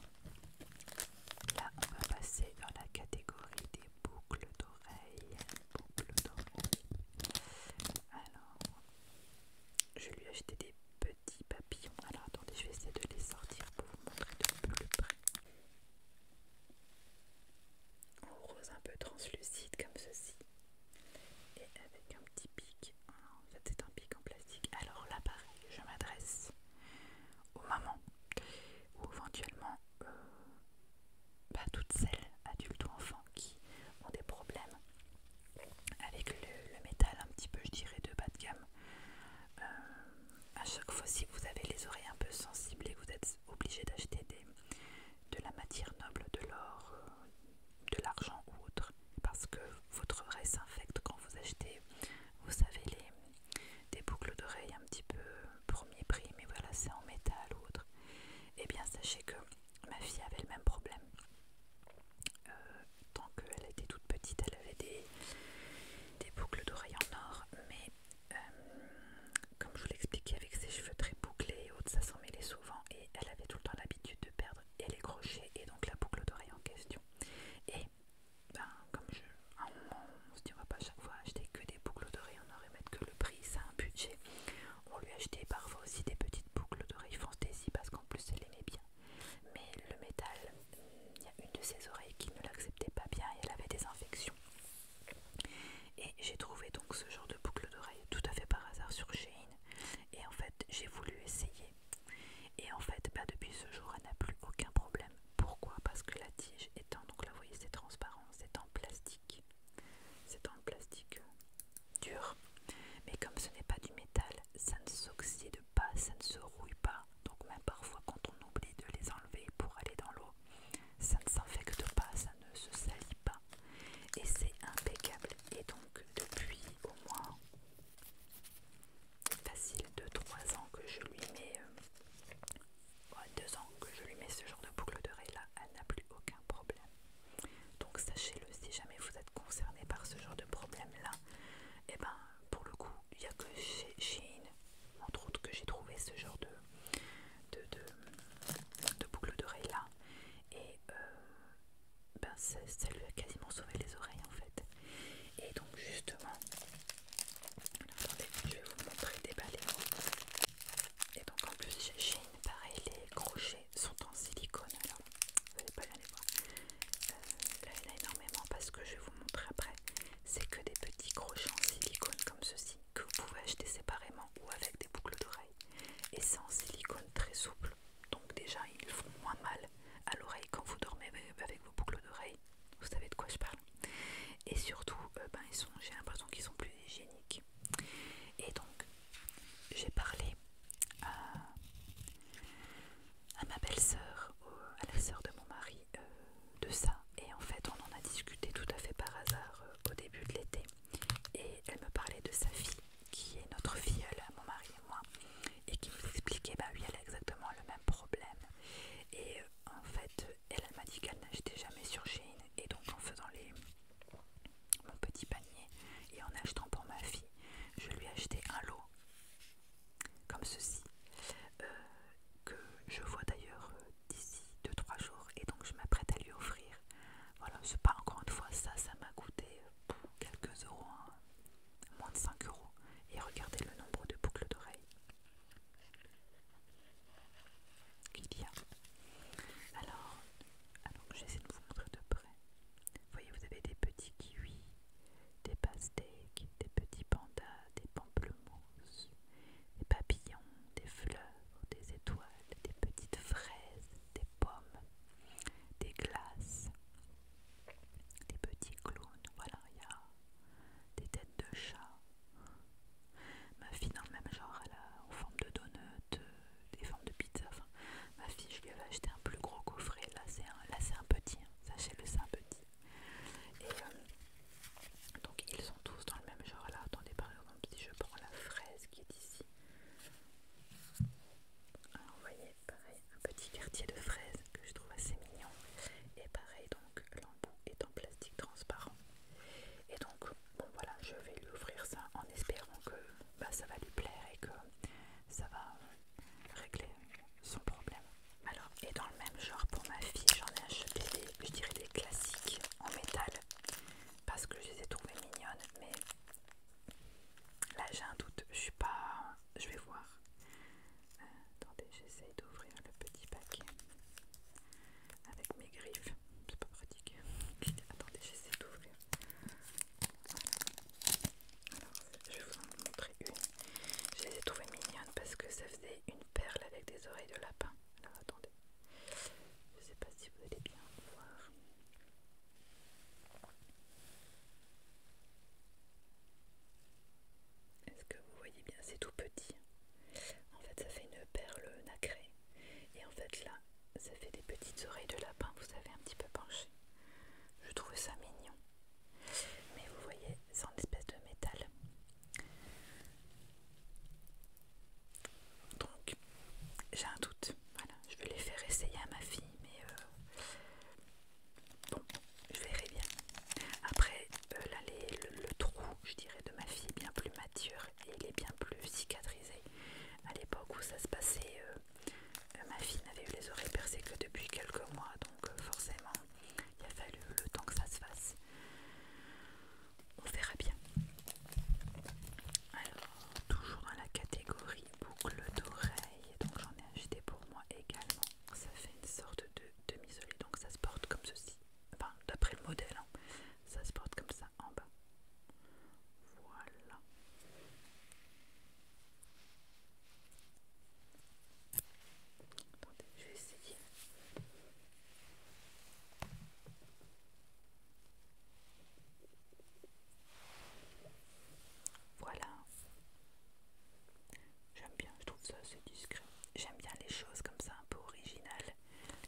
là on va passer dans la catégorie des boucle d'oreilles, boucle d'oreilles. Alors, je lui ai acheté des petits papillons. Alors attendez, je vais essayer de les sortir pour vous montrer de plus près. En rose un peu translucide comme ceci. Et avec un petit pic. Ah, en c'est un pic en plastique. Alors là pareil, je m'adresse aux mamans ou éventuellement euh, pas toutes celles, adultes ou enfants, qui ont des problèmes avec le, métal un petit peu, je dirais, de bas de gamme. Euh, à chaque fois, si vous avez les oreilles un peu sensibles et vous êtes obligé d'acheter de la matière noble, de l'or, euh, de l'argent ou autre, parce que votre oreille s'infecte quand vous achetez, vous savez, les, des boucles d'oreilles un petit peu premier prix, mais voilà, c'est en métal ou autre eh bien sachez que ma fille avait le même problème. Euh, tant qu'elle était toute petite, elle avait des, boucles d'oreilles en or, mais euh, comme je vous l'expliquais avec ses cheveux très bouclés et autres, ça s'en mêlait souvent et elle avait tout le temps l'habitude de perdre et les crochets et donc la boucle d'oreille en question. Et ben, comme je, à un moment, on se dit pas chaque fois acheter que des boucles d'oreilles on aurait mettre que le prix, ça un budget. On lui achetait parfois aussi des petites boucles d'oreilles fantaisie parce qu'en plus elle aimait bien. Mais le métal, il y a une de ses oreilles qui ne l'acceptait pas bien et elle avait des infections. Et j'ai trouvé donc ce genre de boucle d'oreilles tout à fait par hasard sur Shane. Et en fait, j'ai voulu essayer. Et en fait, bah, depuis ce jour, elle n'a plus aucun problème. Pourquoi Parce que la tige étant, donc là vous voyez c'est transparent, c'est en plastique. C'est en plastique dur, mais comme ce n'est pas du métal, ça ne s'oxyde pas, ça ne se rouille pas. Donc même parfois quand on oublie de les enlever pour aller dans l'eau, ça ne s'infecte pas, ça ne se salit pas. Et c'est impeccable. Et donc depuis au moins facile de 3 ans que je lui mets euh, deux ans que je lui mets ce genre de boucle d'oreille là, elle n'a plus aucun problème. Donc sachez-le, si jamais vous êtes concerné par ce genre de problème là, et eh ben pour le coup, il n'y a que chez Shein, entre autres, que j'ai trouvé ce genre de, de, boucle d'oreille là. Et euh, ben ça, lui a quasiment sauvé les oreilles en fait. Et donc justement, attendez, je vais vous montrer déballer et donc en plus j'ai une pareil, les crochets sont en silicone. Alors, vous pouvez pas y voir. Euh, là, il y en a énormément parce que je vais vous montrer après. C'est que des petits crochets en silicone comme ceci que vous pouvez acheter séparément ou avec des boucles d'oreilles. Et c'est en silicone très souple. Donc déjà, ils font moins mal à l'oreille quand vous dormez avec vos boucles d'oreilles. Vous savez de quoi je parle. Et surtout, euh, ben, ils sont, j'ai l'impression qu'ils sont plus hygiéniques et donc, j'ai parlé à, ma belle-sœur, à la sœur de mon mari, euh, de ça. Et en fait, on en a discuté tout à fait par hasard euh, au début de l'été. Et elle me parlait de sa fille, qui est notre filleule, mon mari et moi, et qui nous expliquait, bah oui, elle a exactement le même problème. Et euh, en fait, elle, elle m'a dit qu'elle n'achetait jamais sur Shein. Et donc, en faisant les mon petit panier et en achetant pour ma fille, je lui ai acheté un lot comme ceci euh, que je vois d'ailleurs euh, d'ici 2-3 jours et donc je m'apprête à lui offrir. Voilà, c'est pas encore une fois ça, ça m'a coûté euh, quelques euros, hein, moins de 5 euros et regardez le nombre de boucles d'oreilles qu'il y a. Alors, ah je vais essayer de vous montrer de près. Vous voyez, vous avez des petits kiwis, des pastèques, des petits pandas, des pamplemousses, des papillons, des fleurs, des étoiles, des petites fraises, des pommes, des glaces, des petits clowns. Voilà, il y a des têtes de chat, Ma fille dans le même genre, elle en forme de donut, euh, des formes de pizza. ma fille, je lui avais acheté un plus gros coffret. Là, c'est un, petit. Hein. Sachez-le, c'est un petit. Et euh, donc, ils sont tous dans le même genre. Là, attendez, par exemple, si je prends la fraise qui est ici. Alors, ah, vous voyez, pareil, un petit quartier de fraises que je trouve assez mignon. Et pareil, donc, l'embout est en plastique transparent. Et donc, bon voilà, je vais lui offrir ça en espérant que bah, ça va lui plaire et que ça va euh, régler son problème. Alors, et dans le même genre, pour ma fille, j'en ai acheté des, je dirais des classiques en métal parce que je les ai trouvées mignonnes, mais là j'ai un doute, je suis pas. Je vais voir. Euh, attendez, j'essaye d'ouvrir le petit paquet avec mes griffes. C'est pas pratique. Attendez, j'essaie d'ouvrir. Alors, je vais vous en montrer une. Je les ai trouvées parce que ça faisait une perle avec des oreilles de lapin. Alors, attendez. Je sais pas si vous allez bien voir. Est-ce que vous voyez bien C'est tout petit. En fait, ça fait une perle nacrée. Et en fait là, ça fait des petites oreilles de lapin, vous savez, un petit peu penché. Je trouve ça mignon. Mais vous voyez, c'est en espèce de métal. Donc, j'ai un doute. Voilà, je vais les faire essayer à ma fille, mais euh, bon, je verrai bien. Après, euh, là, le trou, je dirais, de ma fille, bien plus mature et il est bien plus cicatrisé. À l'époque où ça se passait, euh, euh, ma fille n'avait eu les oreilles percées que depuis quelques mois, donc euh, forcément, il a fallu le temps que ça se fasse. On verra bien. Alors, toujours dans la catégorie boucle d'oreille, donc j'en ai acheté pour moi également. Ça fait une sorte de demi-solide, donc ça se porte comme ceci, enfin d'après le modèle. Hein. Ça se porte comme ça en bas. Voilà. je vais essayer. Voilà. J'aime bien, je trouve ça assez discret. J'aime bien les choses comme ça, un peu originales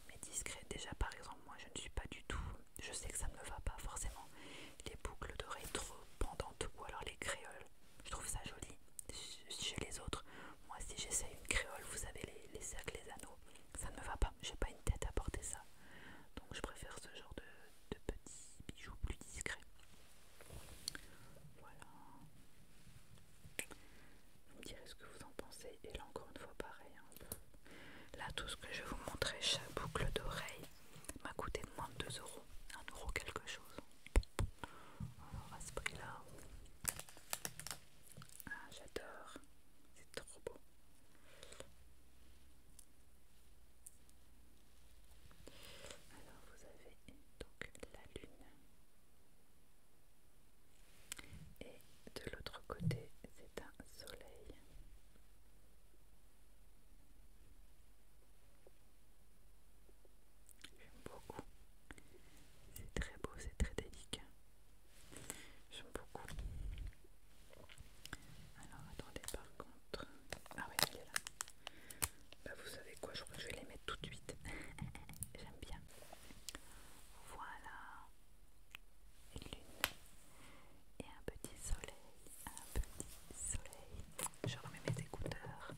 mais discret. Déjà, par exemple, moi je ne suis pas du tout, je sais que ça ne me va pas forcément, les boucles d'oreilles trop pendantes ou alors les créoles. Je trouve ça joli chez les autres. Moi, si j'essaie une créole, vous savez, les, cercles, les anneaux, ça ne me va pas. J'ai pas une tête à porter ça. Donc, je préfère ce genre de, de petits bijoux plus discrets. Voilà. Vous me direz ce que vous en pensez. Et là, encore une fois, pareil. Hein. Là, tout ce que je vais vous montrer, chaque boucle d'oreille m'a coûté moins de 2 euros. 1 euro quelque chose. Alors, à ce prix-là. Ah, j'adore. C'est trop beau. Alors, vous avez donc la lune et de l'autre côté c'est un soleil. J'aime beaucoup. C'est très beau, c'est très délicat. J'aime beaucoup. Alors attendez par contre. Ah oui, il est là. Bah vous savez quoi, je crois que je vais les mettre tout de suite. J'aime bien. Voilà lune et un petit soleil, un petit soleil. Je remets mes écouteurs.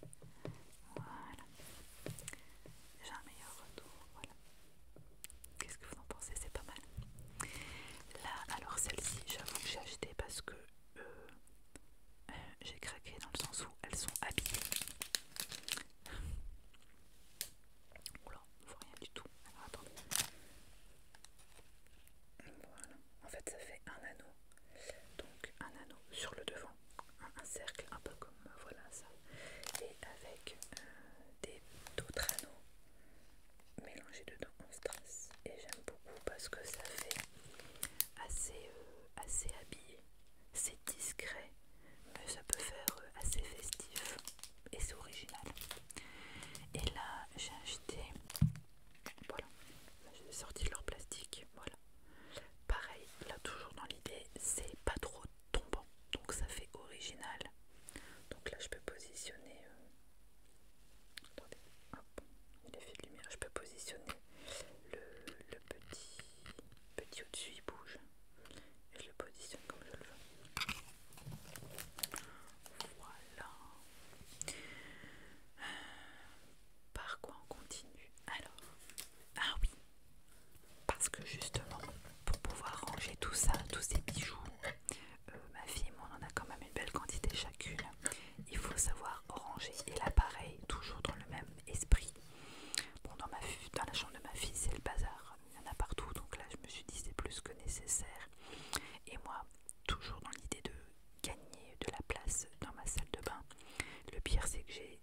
Voilà. j'ai un meilleur retour. Voilà. Qu'est-ce que vous en pensez C'est pas mal. Là, alors celle-ci, j'avoue que j'ai acheté parce que euh, j'ai craqué dans le sens où elles sont habillées du tout. en fait ça fait un anneau. Donc un anneau sur le devant, un, cercle un peu comme voilà ça. Et avec euh, des d'autres anneaux mélangés dedans en strass. Et j'aime beaucoup parce que ça fait assez, euh, assez habillé. C'est discret, mais ça peut faire euh, assez festif et c'est original. Et là, j'ai acheté. Voilà, j'ai sorti leur plastique. Voilà, pareil, là, toujours dans l'idée, c'est pas trop tombant, donc ça fait original. Donc là, je peux positionner. Euh, attendez, hop, il a fait de lumière. Je peux positionner le, le petit, petit au-dessus, il bouge, et je le positionne comme je le veux. Voilà. par quoi on continue Alors, ah oui, parce que justement, pour pouvoir ranger tout ça, tous ces bijoux, euh, ma fille et moi on en a quand même une belle quantité chacune. Il faut savoir ranger. Et l'appareil toujours dans le même esprit. Bon, dans, ma, dans la chambre de ma fille, c'est le bazar il y en a partout, donc là je me suis dit c'est plus que nécessaire. Et moi, toujours dans l'idée de gagner de la place dans ma salle de bain, le pire c'est que j'ai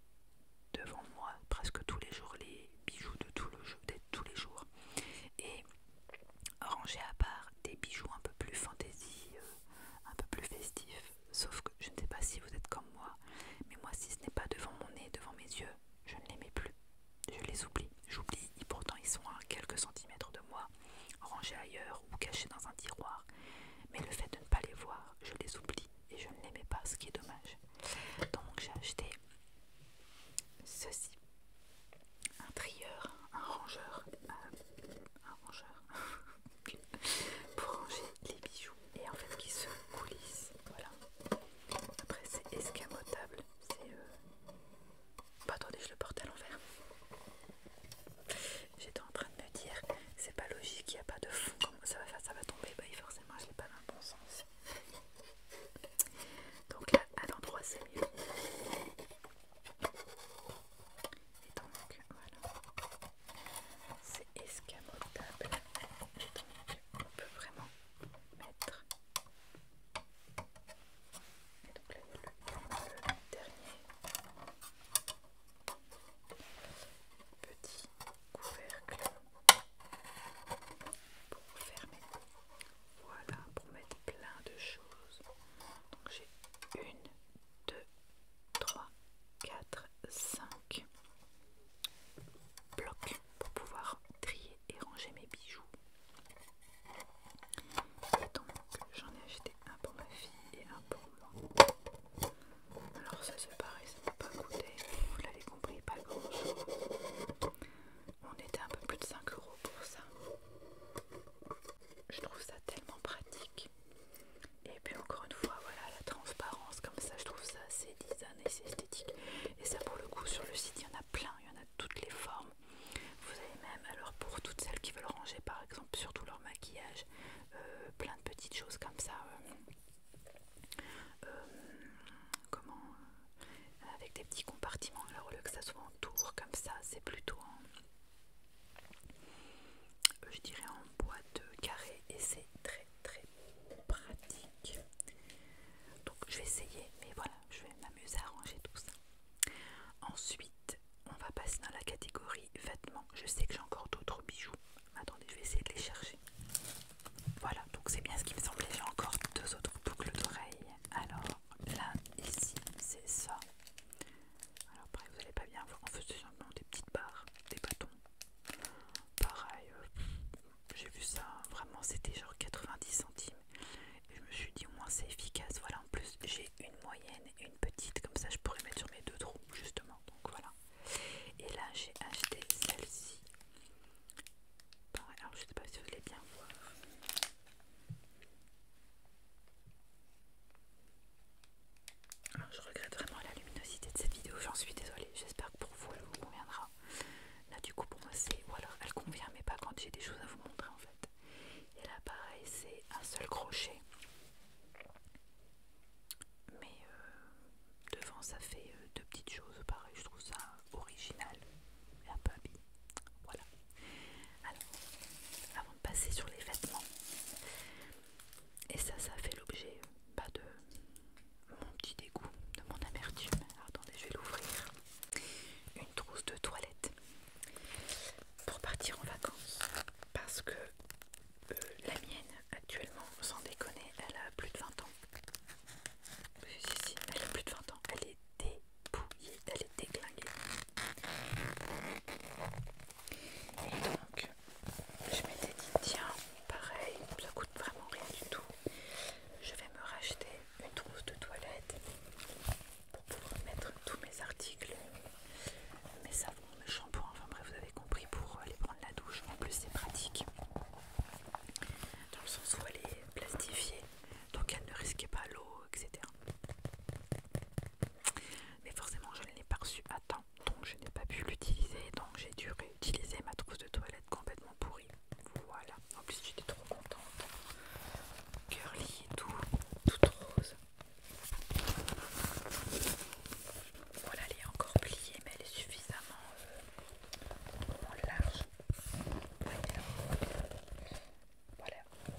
devant moi presque tous les jours les bijoux de, tout le jeu, tous les jours. Et ranger à part des bijoux un peu plus fantaisie, euh, un peu plus festifs, sauf que je ne sais pas si vous êtes comme moi, mais moi si ce n'est pas devant mon nez, devant mes yeux, je ne les mets plus. Je les oublie, j'oublie, et pourtant ils sont à quelques centimètres de moi, rangés ailleurs ou cachés dans un tiroir. Mais le fait de ne pas les voir, je les oublie et je ne les mets pas, ce qui est dommage. Donc j'ai acheté ceci. Un trieur, un rangeur, euh, un rangeur pour ranger les bijoux et en fait qui se coulissent. Voilà. Après c'est escamotable, c'est euh, bah, attendez, je le porte à l'envers. J'étais en train de me dire, c'est pas logique, il n'y a pas de fond, comment ça va faire, ça va tomber, bah forcément je l'ai pas dans le bon sens. Donc là, à l'endroit c'est mieux. Et donc, voilà. C'est escamotable. on peut vraiment mettre et donc là, le, le dernier petit couvercle pour fermer. Voilà, pour mettre plein de choses. Donc j'ai une, deux, trois, quatre, cinq blocs pour pouvoir trier et ranger mes bijoux. j'en ai acheté un pour ma fille et un pour moi. Alors ça c'est pareil, ça m'a pas coûté, vous l'avez compris, pas grand chose. On était un peu plus de 5 euros pour ça. Je trouve ça tellement pratique. Et puis encore une fois, voilà la transparence comme ça, je trouve ça assez design et c'est esthétique. Et ça pour le coup sur le site il y en a plein, il y en a toutes les formes, vous avez même, alors pour toutes celles qui veulent ranger par exemple, surtout leur maquillage, euh, plein de petites choses comme ça. Euh, euh, comment Avec des petits compartiments. Alors au lieu que ça soit en tour comme ça, c'est plutôt en, je dirais en boîte carrée et c'est très très pratique. Donc je vais essayer, mais voilà, je vais même mieux arranger tout ça. Ensuite, on va passer dans la catégorie vêtements. Je sais que j'ai encore d'autres bijoux. Attendez, je vais essayer de les chercher. Voilà, donc c'est bien ce qui me semblait. J'ai encore deux autres boucles d'oreilles. Alors, là, ici, c'est ça. Alors, pareil, vous n'allez pas bien voir. En fait, simplement des petites barres, des bâtons. Pareil, euh, j'ai vu ça, vraiment c'était genre 90 centimes. Et je me suis dit au moins c'est efficace. Voilà, en plus j'ai une moyenne et une petite, comme ça je pourrais mettre sur mes deux trous justement. Donc voilà. Et là j'ai acheté celle-ci. Alors je sais pas si vous voulez bien voir. Ah, je regrette vraiment la luminosité de cette vidéo, j'en suis désolée, j'espère que pour vous elle vous conviendra. Là du coup pour moi elle convient mais pas quand j'ai des choses à vous montrer en fait. Et là pareil c'est un seul crochet. Mais euh, devant ça fait euh, deux petites choses, pareil je trouve ça original et un peu habillé. Voilà. Alors, avant de passer sur les vêtements, et ça ça fait l'objet euh, pas de mon petit dégoût, de mon amertume. attendez je vais l'ouvrir une trousse de toilette pour partir en vacances parce que euh, la mienne actuellement sans déconner elle a plus de 20 ans si si elle a plus de 20 ans elle est dépouillée elle est déglinguée et donc je m'étais dit tiens pareil ça coûte vraiment rien du tout je vais me racheter une trousse de toilette pour pouvoir mettre tous mes articles, mes savons, mes shampoings, enfin bref vous avez compris pour aller prendre la douche. En plus c'est pratique dans le sens où elle est plastifiée, donc elle ne risquait pas l'eau, etc. Mais forcément je ne l'ai pas reçue à temps, donc je n'ai pas pu l'utiliser, donc j'ai dû réutiliser ma trousse de toilette complètement pour voilà. En plus, j'étais trop contente. Curly et tout, toute rose. Voilà, elle est encore pliée, mais elle est suffisamment euh, large. Voilà,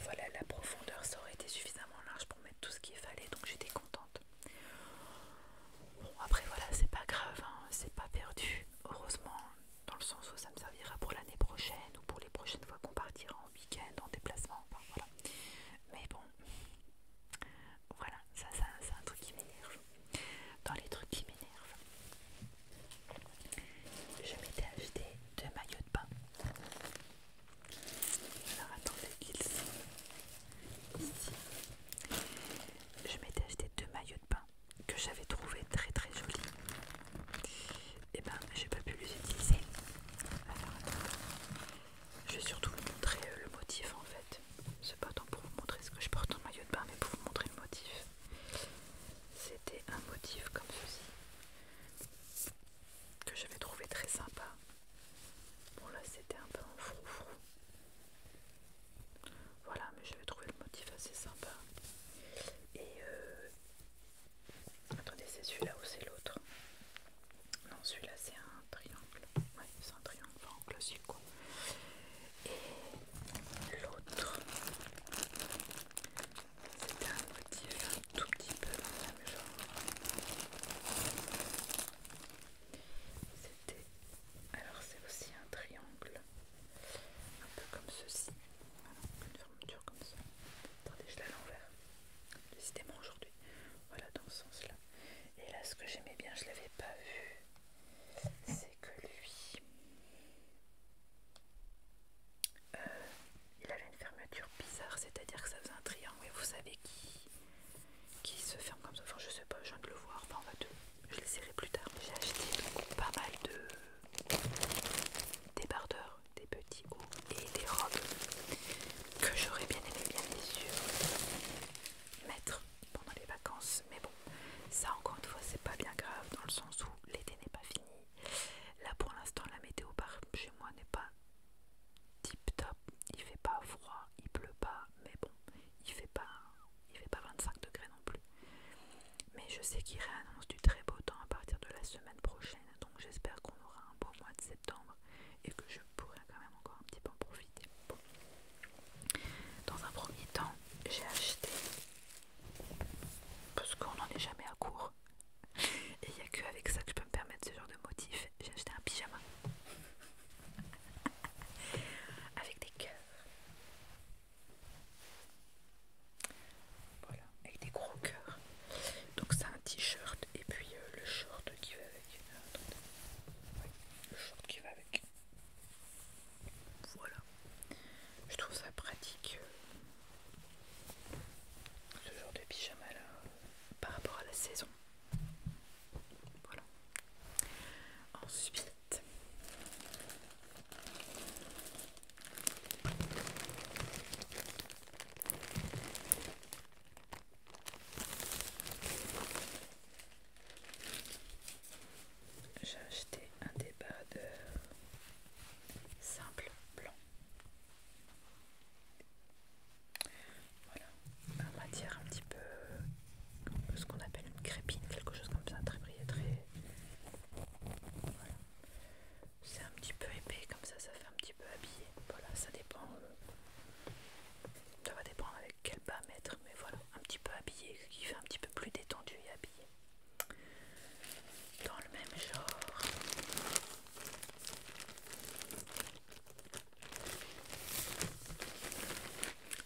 voilà, la profondeur, ça aurait été suffisamment large pour mettre tout ce qu'il fallait, donc j'étais contente. Bon, après voilà, c'est pas grave, hein. c'est pas perdu. Heureusement, dans le sens où ça me servira pour l'année prochaine ou pour les prochaines fois qu'on partira en week-end, en déplacement, enfin voilà. Mais bon, voilà, ça, c'est un truc qui m'énerve. Dans les trucs qui m'énervent, je m'étais acheté deux maillots de bain. Alors attendez qu'ils sont ici. Je m'étais acheté deux maillots de pain que j'avais trouvé très très joli et eh ben j'ai pas pu les utiliser alors je vais surtout vous montrer euh, le motif en fait c'est pas tant pour vous montrer ce que je porte en maillot de bain mais pour vous montrer le motif c'était un motif comme ceci que j'avais trouvé très sympa bon là c'était un peu en froufrou voilà mais j'avais trouvé le motif assez sympa et, euh, Attendez, c'est celui-là ou c'est l'autre Non, celui-là c'est un triangle. Ouais, c'est un triangle en classique Et l'autre, c'était un motif un tout petit peu dans le même genre. C'était. Alors c'est aussi un triangle un peu comme ceci, une fermeture comme ça. Attendez, je l'ai à l'envers, décidément aujourd'hui, voilà dans ce sens là. Et là, ce que j'aimais bien, je l'avais pas vu, c'est que lui, euh, il avait une fermeture bizarre, c'est-à-dire que ça faisait un triangle, et vous savez qui, qui se ferme comme ça. Enfin, je sais pas, je viens de le voir, enfin, on va Je les plus tard. J'ai acheté pas mal de des bardeurs, des petits hauts et des robes que j'aurais bien aimé bien sûr mettre pendant les vacances. Mais bon, ça encore une fois c'est pas bien grave dans le sens où l'été n'est pas fini. Là pour l'instant la météo par chez moi n'est pas tip top. Il fait pas froid, il pleut pas, mais bon, il fait pas, il fait pas 25 degrés non plus. Mais je sais qu'il réannonce du très beau temps à partir de la semaine prochaine, donc j'espère qu'on aura un beau mois de septembre et que je pourrai quand même encore un petit peu en profiter. Dans un premier temps, j'ai acheté, parce qu'on n'en est jamais à court, et il n'y a que avec ça que je peux me permettre ce genre de motif, j'ai acheté un pyjama avec des cœurs. Voilà, avec des gros cœurs. Donc c'est un t-shirt et puis euh, le short qui va avec. le short qui va avec. Voilà. Je trouve ça pratique. Euh, ce genre de pyjama là par rapport à la saison. Voilà. Ensuite, j'ai acheté un débardeur simple blanc. Voilà, en matière un petit peu ce qu'on appelle une crépine, quelque chose comme ça, très brillant, très. C'est un petit peu épais, comme ça, ça fait un petit peu habillé. Voilà, ça dépend. Euh, ça va dépendre avec quel bas mettre, mais voilà, un petit peu habillé, ce qui fait un petit peu plus détendu et habillé. Dans le même genre.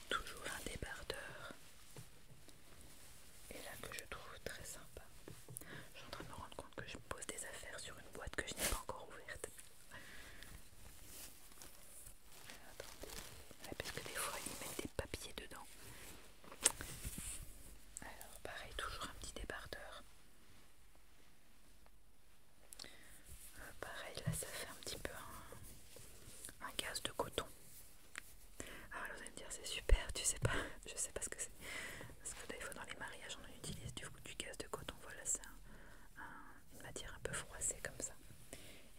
Toujours un débardeur et là que je trouve très sympa. Je suis en train de me rendre compte que je pose des affaires sur une boîte que je n'ai pas encore ouverte. parce que des fois ils mettent des papiers dedans. Alors pareil, toujours un petit débardeur. Euh, pareil, là ça fait un petit peu un gaz de coton. Alors ah, vous allez me dire c'est super, tu sais pas, je sais pas ce que c'est. Parce que des fois dans les mariages on utilise du, du gaz de coton, voilà c'est une matière un peu froissée comme ça.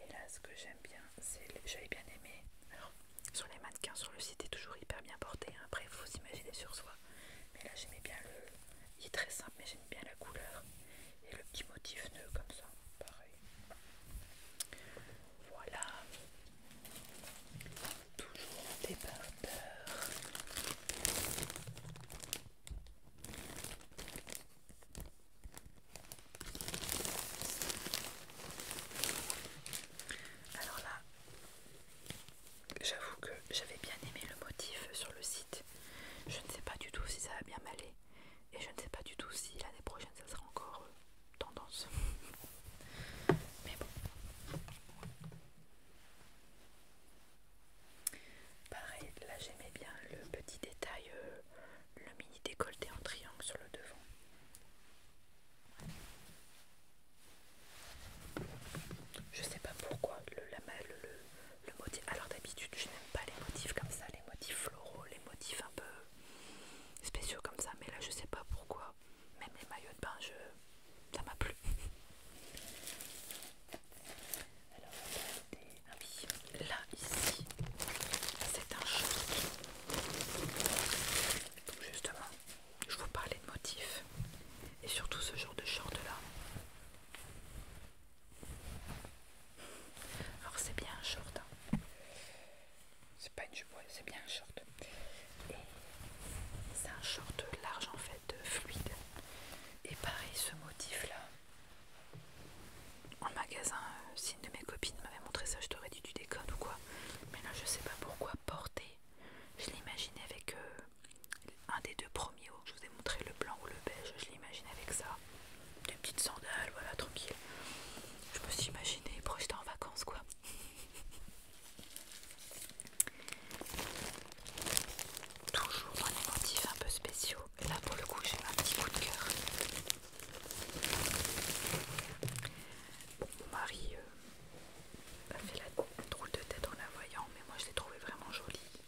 Et là ce que j'aime bien, c'est j'avais bien aimé. Alors sur les mannequins, sur le site, est toujours hyper bien porté. Hein. Après il faut s'imaginer sur soi. Mais là j'aimais bien le. Il est très simple mais j'aime bien la couleur. Et le petit motif nœud comme ça, pareil. Voilà toujours débardeur. Alors là, j'avoue que j'avais bien aimé le motif sur le site. Je ne sais pas du tout si ça va bien m'aller. Et je ne sais pas du tout si l'année prochaine ça sera encore tendance. Mais bon. Pareil, là j'aimais bien le petit détail, euh, le mini décolleté en triangle sur le devant. Je sais pas pourquoi le, la, le, le motif. Alors d'habitude, je n'aime pas les motifs comme ça, les motifs floraux, les motifs un peu spéciaux comme ça, mais là je sais pas pourquoi. Même les maillots de bain, je... ça m'a plu. Alors, là, ici, c'est un short. justement, je vous parlais de motifs. Et surtout ce genre de short-là. Alors c'est bien un short. Hein c'est pas une jupe, c'est bien un short. Et c'est un short large en fait, fluide. Et pareil, ce motif là, en magasin, euh, si une de mes copines m'avait montré ça, je t'aurais dit tu déconnes ou quoi. Mais là, je sais pas pourquoi porter. Je l'imaginais avec euh, un des deux premiers hauts. Je vous ai montré le blanc ou le beige. Je l'imagine avec ça. Des petites sandales, voilà, tranquille. Je me suis imaginé projeté en vacances, quoi. Toujours un les un peu spéciaux. Là pour le coup j'ai un petit coup de cœur. Marie mari euh, a fait la drôle de tête en la voyant, mais moi je l'ai trouvée vraiment jolie.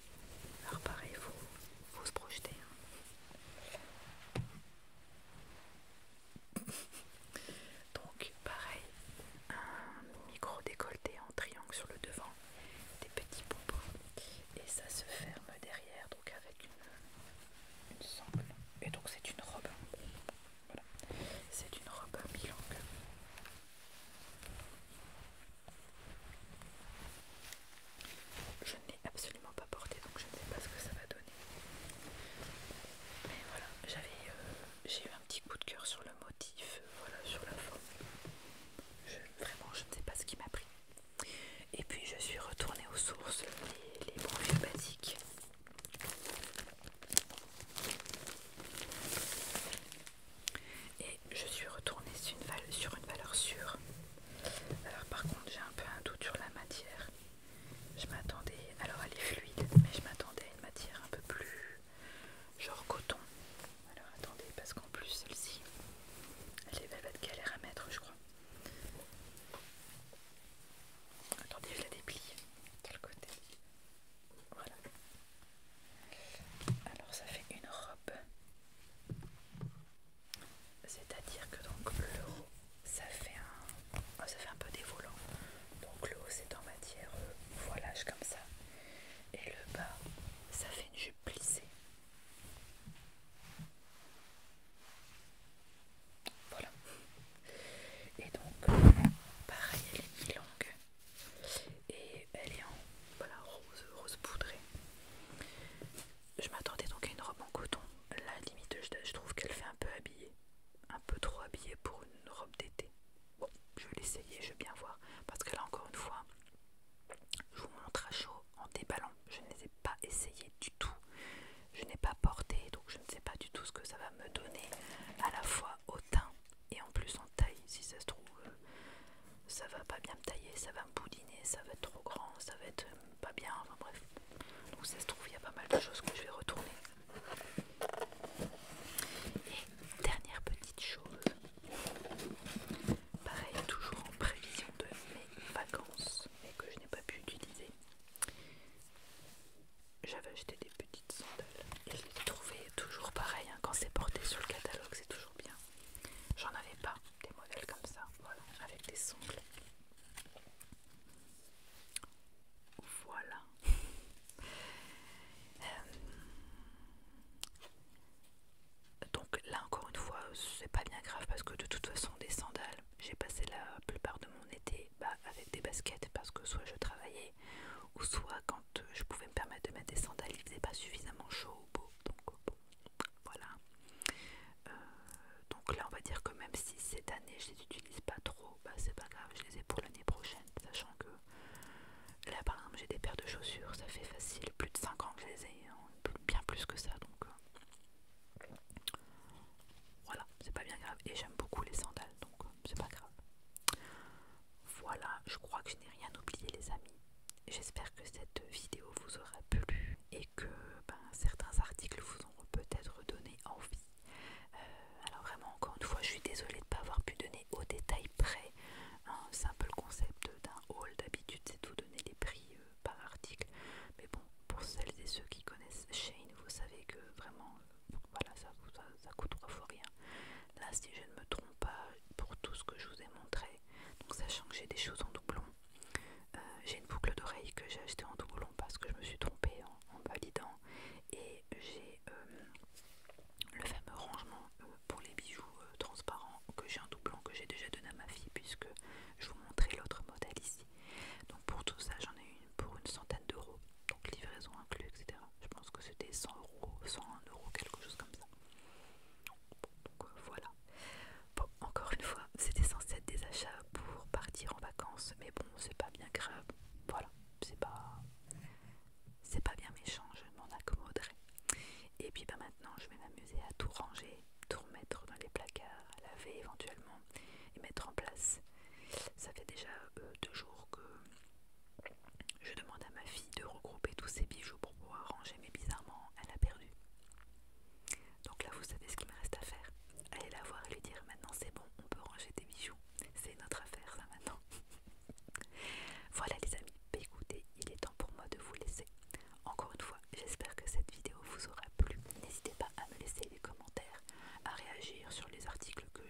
Alors pareil, faut, faut se projeter. Hein. Donc pareil, un micro décolleté en triangle sur le devant, des petits pompes, et ça se ferme derrière donc avec une, sangle. Et donc c'est une robe. Voilà. C'est une robe à mi Je ne l'ai absolument pas porté donc je ne sais pas ce que ça va donner. Mais voilà, j'avais euh, j'ai eu un petit coup de cœur sur le motif, euh, voilà, sur la forme. vraiment, je ne sais pas ce qui m'a pris. Et puis je suis retournée aux sources, les, les basiques. Et je suis retournée sur une valeur sûre. Alors par contre j'ai un peu un doute sur la matière. Je m'attendais, alors elle est fluide, mais je m'attendais à une matière un peu plus genre coton. Alors attendez, parce qu'en plus celle-ci, elle est va être galère à mettre, je crois. Attendez, je la déplie de le côté. Voilà. Alors ça fait une robe. C'est-à-dire que donc le haut, ça fait un ah, ça fait un peu des volants. Donc le haut c'est en matière euh, voilage comme ça. Et le bas, ça fait une jupe plissée. Voilà. Et donc, pareil, elle est mi-longue. Et elle est en voilà, rose, rose poudrée. Je m'attendais donc à une robe en coton. La limite, je trouve qu'elle fait un peu habillée. Un peu trop habillée pour une robe d'été Bon, je vais l'essayer, je vais bien voir. Parce que là, encore une fois, je vous montre à chaud en déballant. Je ne les ai pas essayé du tout. Je n'ai pas porté, donc je ne sais pas du tout ce que ça va me donner à la fois au teint et en plus en taille. Si ça se trouve, euh, ça va pas bien me tailler, ça va me boudiner, ça va être trop grand, ça va être euh, pas bien. Enfin bref, donc ça se trouve, il y a pas mal de choses que je vais retourner. Et dernière petite chose, pareil toujours en prévision de mes vacances, mais que je n'ai pas pu utiliser. J'avais acheté des petites sandales et je les trouvais toujours pareil. Hein. quand c'est porté sur le catalogue, c'est toujours bien. J'en avais pas des modèles comme ça, voilà, avec des sangles. Voilà. Euh, donc là encore une fois c'est pas bien grave parce que de toute façon des sandales j'ai passé la plupart de mon été bah, avec des baskets parce que soit je travaillais ou soit quand euh, je pouvais me permettre de mettre des sandales il faisait pas suffisamment chaud beau donc euh, voilà donc là on va dire que même si cette année je les utilise pas trop bah c'est pas grave, je les ai pour l'année prochaine, sachant que là par exemple j'ai des paires de chaussures, ça fait facile plus de 5 ans que je les ai, hein, bien plus que ça donc euh, voilà, c'est pas bien grave et j'aime beaucoup les sandales donc euh, c'est pas grave. Voilà, je crois que je n'ai rien oublié les amis. J'espère que cette vidéo vous aura plu et que ben, certains articles vous ont peut-être donné envie euh, alors vraiment, encore une fois, je suis désolée de ne pas avoir pu donner au détail près. Hein, un simple concept d'un haul d'habitude, c'est tout donner les prix euh, par article. Mais bon, pour celles et ceux qui connaissent Shane, vous savez que vraiment, euh, voilà, ça, ça, coûte trois fois rien. Là, si je ne me trompe pas, pour tout ce que je vous ai montré, donc sachant que j'ai des choses en doublon, j'ai une boucle d'oreille que j'ai achetée en doublon parce que je me suis trompée en, en validant. Et j'ai euh, le fameux rangement euh, pour les bijoux euh, transparents que j'ai en blanc que j'ai déjà donné à ma fille puisque je vous montrais l'autre modèle ici. Donc pour tout ça j'en ai une pour une centaine d'euros, donc livraison inclus, etc. Je pense que c'était 100 euros, 101 euros, quelque chose comme ça. donc voilà. Bon, encore une fois, c'était censé être des achats pour partir en vacances, mais bon, c'est pas bien grave. Voilà, c'est pas c'est pas bien méchant, je m'en accommoderai. Et puis bah, maintenant je vais m'amuser à tout ranger, tout remettre dans les placards, à laver éventuellement et mettre en place. Ça fait déjà euh, deux jours que je demande à ma fille de regrouper tous ses bijoux pour pouvoir ranger, mais bizarrement elle a perdu. Donc là vous savez ce qu'il me reste à faire. Allez la voir et lui dire maintenant c'est bon, on peut ranger des bijoux. C'est notre affaire ça maintenant. voilà les amis, bah, écoutez, il est temps pour moi de vous laisser. Encore une fois, j'espère que cette vidéo vous aura plu. N'hésitez pas à me laisser des commentaires, à réagir sur les articles que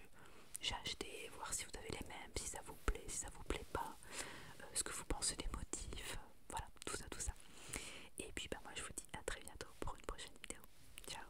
j'ai achetés, voir si vous avez les mêmes, si ça vous plaît, si ça vous plaît pas, euh, ce que vous pensez des motifs, voilà, tout ça, tout ça. Et puis bah, moi je vous dis à très bientôt pour une prochaine vidéo. Ciao